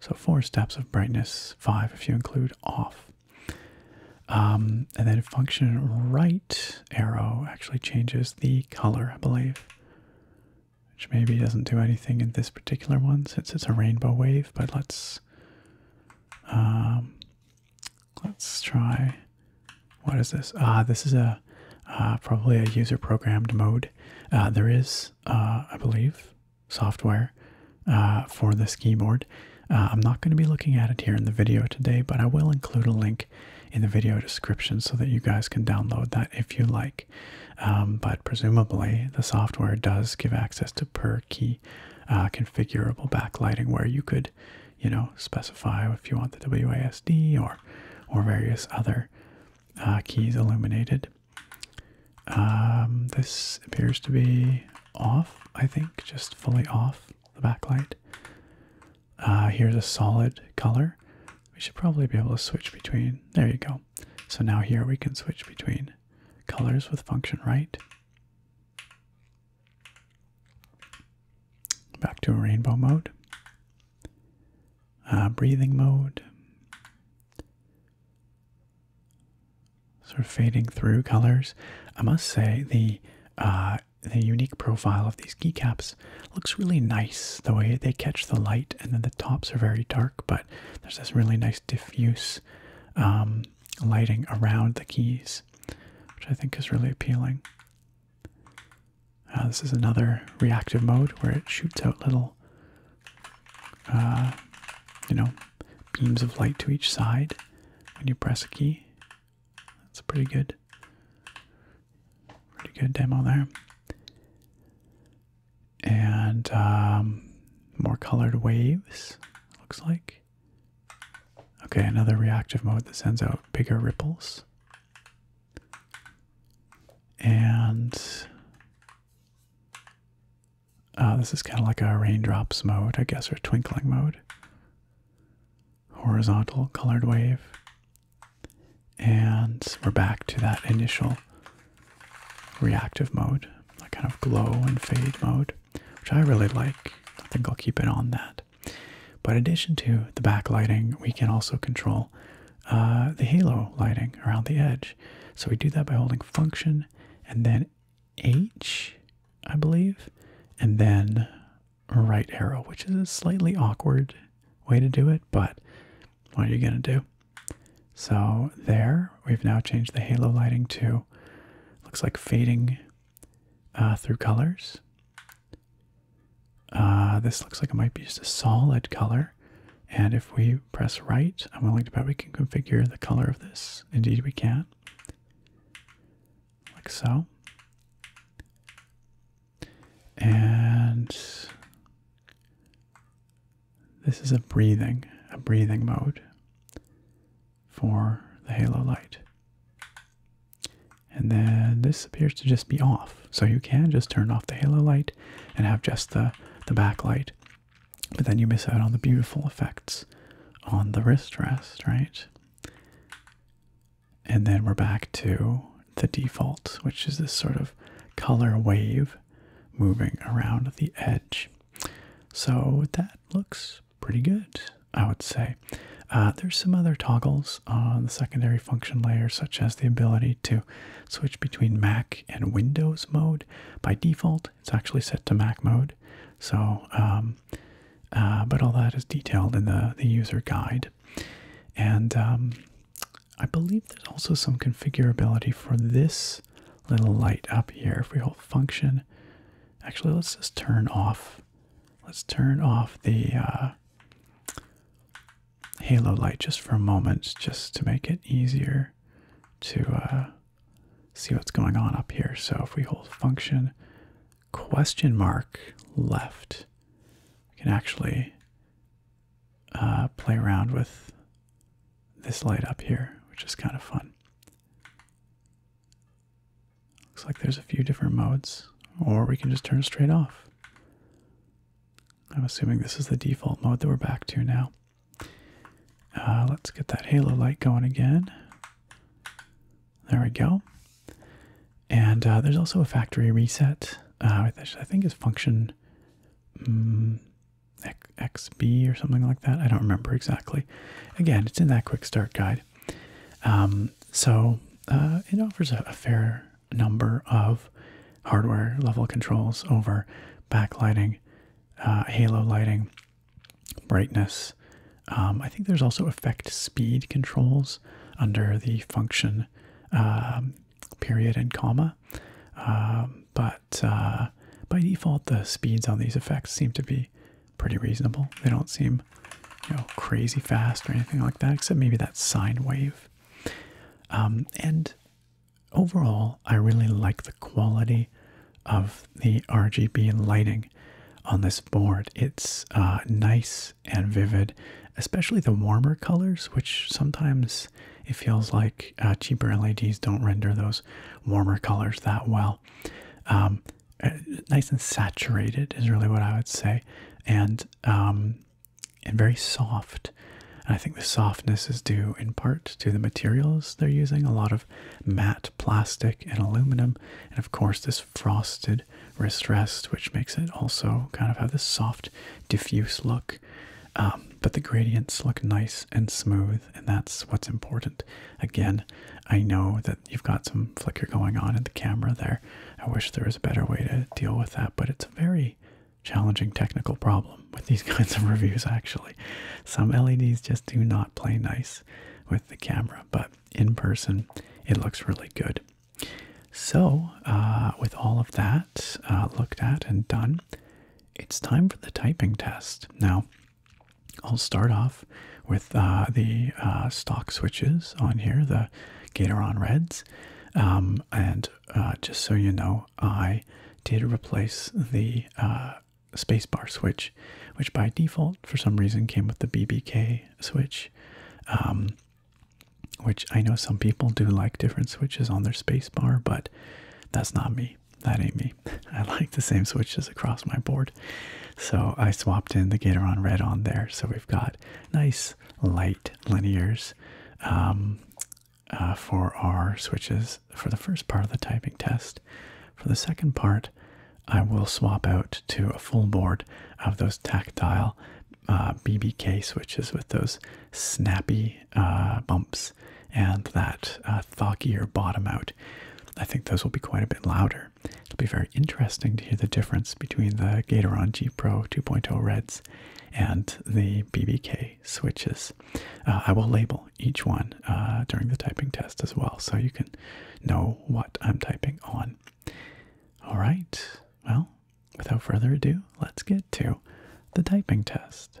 so four steps of brightness, five if you include off. Um, and then function right arrow actually changes the color, I believe, which maybe doesn't do anything in this particular one since it's a rainbow wave. But let's um, let's try. What is this? Ah, this is a uh, probably a user programmed mode. Uh, there is, uh, I believe, software uh, for this keyboard. Uh, I'm not going to be looking at it here in the video today, but I will include a link in the video description so that you guys can download that if you like. Um, but presumably, the software does give access to per key uh, configurable backlighting where you could, you know, specify if you want the WASD or, or various other keys illuminated. Um, this appears to be off, I think, just fully off the backlight. Uh, here's a solid color. We should probably be able to switch between. There you go. So now here we can switch between colors with function right. Back to rainbow mode. Uh, breathing mode sort of fading through colors. I must say the uh, the unique profile of these keycaps looks really nice. The way they catch the light, and then the tops are very dark, but there's this really nice diffuse um, lighting around the keys, which I think is really appealing. Uh, this is another reactive mode where it shoots out little uh, you know, beams of light to each side when you press a key. That's pretty good, pretty good demo there. And um, more colored waves, looks like. Okay, another reactive mode that sends out bigger ripples. And uh, this is kind of like a raindrops mode, I guess, or twinkling mode. Horizontal colored wave. And we're back to that initial reactive mode, that kind of glow and fade mode, which I really like. I think I'll keep it on that. But in addition to the backlighting, we can also control uh, the halo lighting around the edge. So we do that by holding function and then H, I believe, and then right arrow, which is a slightly awkward way to do it, but what are you going to do? So there, we've now changed the halo lighting to looks like fading uh, through colors. Uh, this looks like it might be just a solid color. And if we press right, I'm willing to bet we can configure the color of this indeed we can. Like so. And this is a breathing, a breathing mode for the halo light. And then this appears to just be off. So you can just turn off the halo light and have just the, the backlight but then you miss out on the beautiful effects on the wrist rest, right? And then we're back to the default, which is this sort of color wave moving around the edge. So that looks pretty good, I would say. Uh, there's some other toggles on the secondary function layer, such as the ability to switch between Mac and Windows mode. By default, it's actually set to Mac mode. So, um, uh, but all that is detailed in the, the user guide. And um, I believe there's also some configurability for this little light up here. If we hold function, actually, let's just turn off. Let's turn off the uh, halo light just for a moment, just to make it easier to uh, see what's going on up here. So if we hold function question mark left, I can actually uh, play around with this light up here, which is kind of fun. Looks like there's a few different modes, or we can just turn straight off. I'm assuming this is the default mode that we're back to now. Uh, let's get that halo light going again. There we go. And uh, there's also a factory reset, uh, which I think is function mm, XB or something like that. I don't remember exactly. Again, it's in that quick start guide. Um, so it offers a, fair number of hardware level controls over backlighting, halo lighting, brightness. Um, I think there's also effect speed controls under the function um, period and comma. Um, but uh, by default, the speeds on these effects seem to be pretty reasonable. They don't seem you know, crazy fast or anything like that, except maybe that sine wave. and overall, I really like the quality of the RGB lighting on this board. It's uh, nice and vivid, especially the warmer colors, which sometimes it feels like uh, cheaper LEDs don't render those warmer colors that well. Um, uh, nice and saturated is really what I would say, and um, and very soft. I think the softness is due in part to the materials they're using. A lot of of matte plastic and aluminum, and of course, this frosted wrist rest, which makes it also kind of have this soft, diffuse look. Um, but the gradients look nice and smooth, and that's what's important. Again, I know that you've got some flicker going on in the camera there. I wish there was a better way to deal with that, but it's a very challenging technical problem with these kinds of reviews, actually. Some LEDs just do not play nice with the camera, but in person it looks really good. So, uh, with all of that uh, looked at and done, it's time for the typing test. Now, I'll start off with uh, the stock switches on here, the Gatoron Reds. Um, and just so you know, I did replace the spacebar switch, which by default, for some reason, came with the BBK switch. Um, which I know some people do like different switches on their spacebar, but that's not me. That ain't me. I like the same switches across my board. So I swapped in the Gatoron Red on there. So we've got nice light linears um, uh, for our switches for the first part of the typing test. For the second part, I will swap out to a full board of those tactile uh, BBK switches with those snappy uh, bumps and that uh, thockier bottom out. I think those will be quite a bit louder. It'll be very interesting to hear the difference between the Gatoron G Pro 2.0 Reds and the BBK switches. Uh, I will label each one uh, during the typing test as well so you can know what I'm typing on. All right, well, without further ado, let's get to the typing test.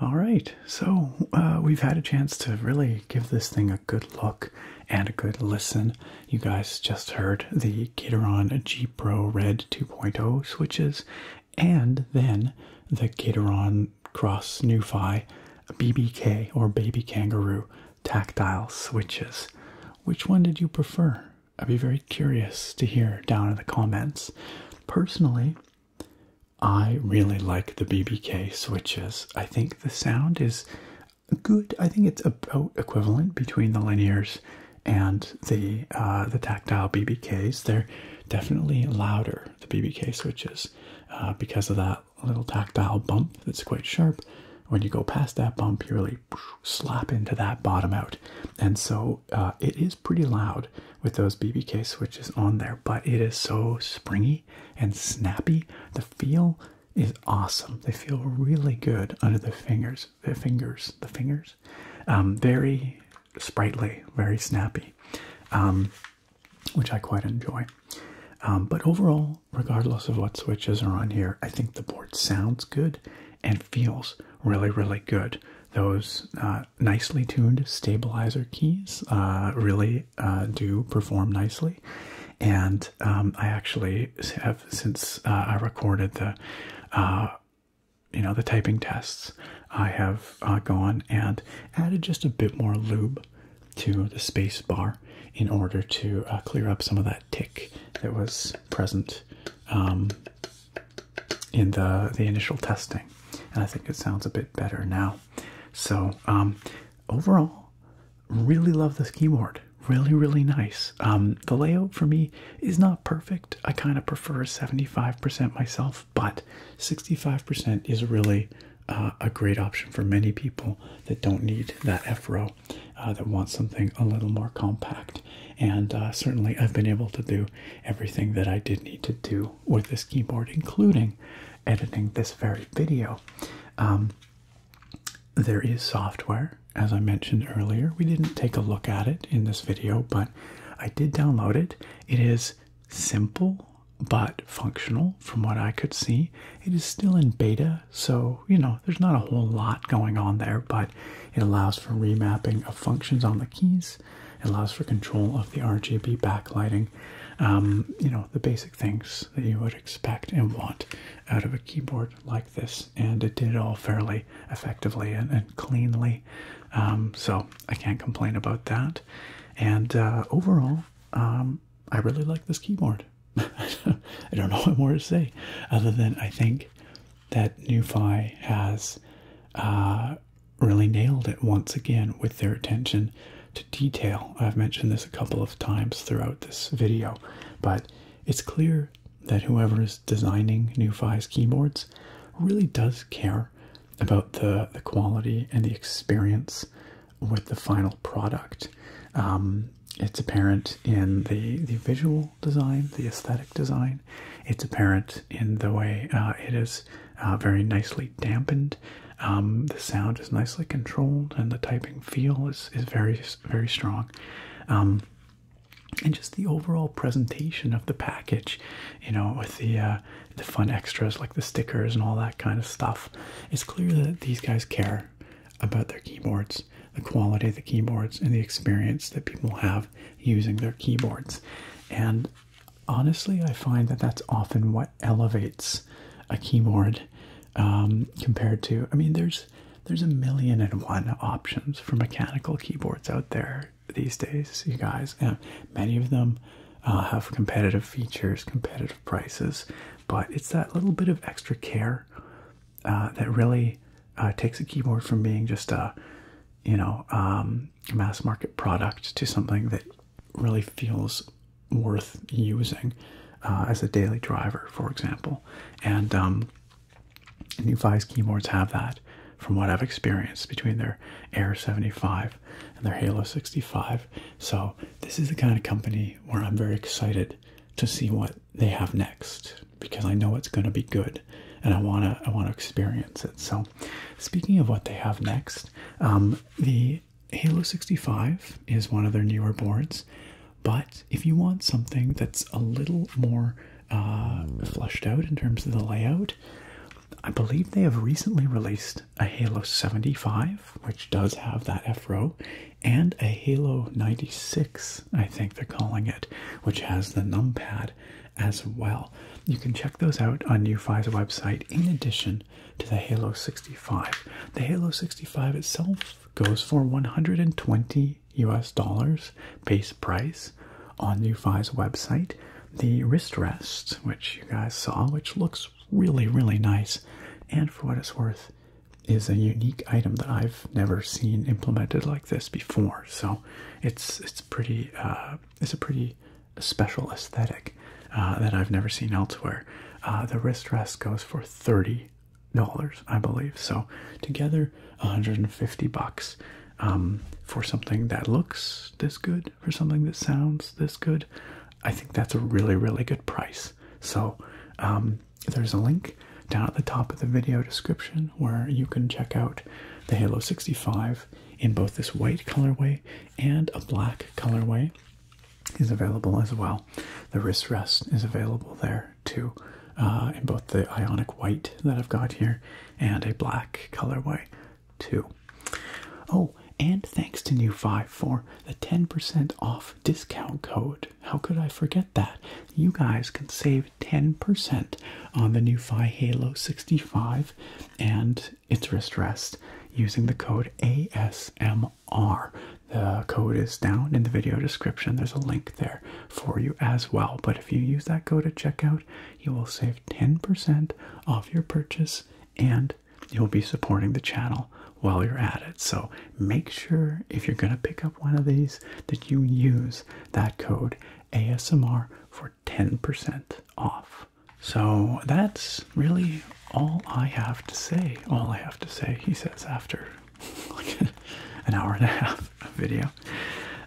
All right, so uh, we've had a chance to really give this thing a good look and a good listen. You guys just heard the Kiteron G Pro Red 2.0 switches and then the Gateron Cross Newfi BBK or Baby Kangaroo tactile switches. Which one did you prefer? I'd be very curious to hear down in the comments. Personally, I really like the BBK switches. I think the sound is good. I think it's about equivalent between the linear's and the uh, the tactile BBKs. They're definitely louder. The BBK switches uh, because of that little tactile bump that's quite sharp. When you go past that bump, you really slap into that bottom out, and so uh, it is pretty loud with those BBK switches on there. But it is so springy and snappy. The feel is awesome. They feel really good under the fingers. The fingers. The fingers. Um, very sprightly, very snappy, um, which I quite enjoy. Um, but overall, regardless of what switches are on here, I think the board sounds good and feels really, really good. Those uh, nicely tuned stabilizer keys uh, really uh, do perform nicely. And I actually have, since I recorded the you know, the typing tests, I have uh, gone and added just a bit more lube to the space bar in order to uh, clear up some of that tick that was present um, in the, the initial testing. And I think it sounds a bit better now. So, um, overall, really love this keyboard. Really, really nice. Um, the layout for me is not perfect. I kind of prefer 75% myself, but 65% is really uh, a great option for many people that don't need that F row, uh, that want something a little more compact. And uh, certainly, I've been able to do everything that I did need to do with this keyboard, including editing this very video. Um, there is software, as I mentioned earlier. We didn't take a look at it in this video, but I did download it. It is simple but functional from what I could see. It is still in beta, so you know, there's not a whole lot going on there, but it allows for remapping of functions on the keys. It allows for control of the RGB backlighting. Um, you know, the basic things that you would expect and want out of a keyboard like this. And it did all fairly effectively and cleanly. Um, so I can't complain about that. And uh, overall, um, I really like this keyboard. I don't know what more to say other than I think that NuFi has uh, really nailed it once again with their attention to detail. I've mentioned this a couple of times throughout this video, but it's clear that whoever is designing NuFi's keyboards really does care about the, the quality and the experience with the final product. Um, it's apparent in the, the visual design, the aesthetic design. It's apparent in the way uh, it is uh, very nicely dampened. Um, the sound is nicely controlled and the typing feel is, is very, very strong. Um, and just the overall presentation of the package you know with the uh, the fun extras like the stickers and all that kind of stuff it's clear that these guys care about their keyboards the quality of the keyboards and the experience that people have using their keyboards and honestly i find that that's often what elevates a keyboard um, compared to i mean there's there's a million and one options for mechanical keyboards out there these days, you guys. many of them uh, have competitive features, competitive prices, but it's that little bit of extra care uh, that really uh, takes a keyboard from being just a, you know, um, mass market product to something that really feels worth using as a daily driver, for example. And um, and Nuvi's keyboards have that, from what I've experienced between their Air 75 and their Halo 65. So, this is the kind of company where I'm very excited to see what they have next because I know it's going to be good and I want to I want to experience it. So, speaking of what they have next, um, the Halo 65 is one of their newer boards, but if you want something that's a little more uh, flushed out in terms of the layout I believe they have recently released a Halo 75, which does have that F row, and a Halo 96, I think they're calling it, which has the numpad as well. You can check those out on UFI's website in addition to the Halo 65. The Halo 65 itself goes for 120 US dollars base price on Ufi's website. The wrist rest, which you guys saw, which looks really, really nice, and for what it's worth, is a unique item that I've never seen implemented like this before. So it's it's pretty uh, it's a pretty special aesthetic uh, that I've never seen elsewhere. Uh, the wrist rest goes for thirty dollars, I believe. So together, one hundred and fifty bucks um, for something that looks this good, for something that sounds this good, I think that's a really, really good price. So um, there's a link down at the top of the video description where you can check out the Halo 65 in both this white colorway and a black colorway is available as well. The wrist rest is available there too, uh, in both the ionic white that I've got here and a black colorway too. Oh, and thanks to New 5 for the 10% off discount code. How could I forget that? You guys can save 10% on the new 5 Halo 65 and its wrist rest using the code ASMR. The code is down in the video description. There's a link there for you as well. But if you use that code at checkout, you will save 10% off your purchase and you'll be supporting the channel while you're at it. So make sure if you're going to pick up one of these that you use that code ASMR for 10% off. So that's really all I have to say. All I have to say, he says after like an hour and a half video.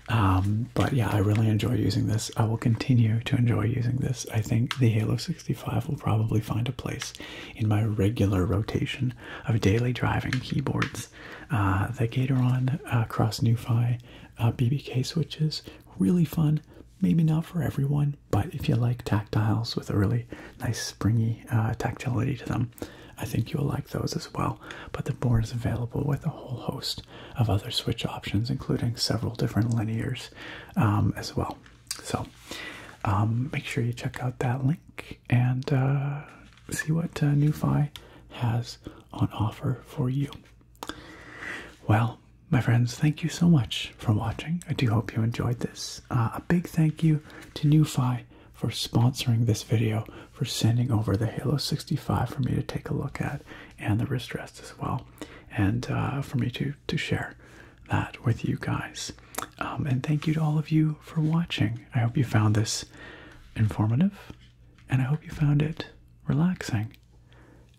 Um, but yeah, I really enjoy using this. I will continue to enjoy using this. I think the Halo 65 will probably find a place in my regular rotation of daily driving keyboards. Uh, the Gatoron uh, Cross NuFi uh, BBK switches, really fun. Maybe not for everyone, but if you like tactiles with a really nice springy uh, tactility to them, I think you'll like those as well. But the board is available with a whole host of other switch options, including several different linears um, as well. So um, make sure you check out that link and uh, see what uh, has on offer for you. Well, my friends, thank you so much for watching. I do hope you enjoyed this. Uh, a big thank you to NuFi for sponsoring this video, for sending over the Halo 65 for me to take a look at and the wrist rest as well, and uh, for me to to share that with you guys. Um, and thank you to all of you for watching. I hope you found this informative, and I hope you found it relaxing.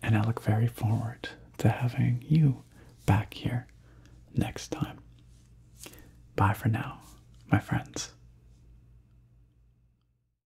And I look very forward to having you back here next time. Bye for now, my friends.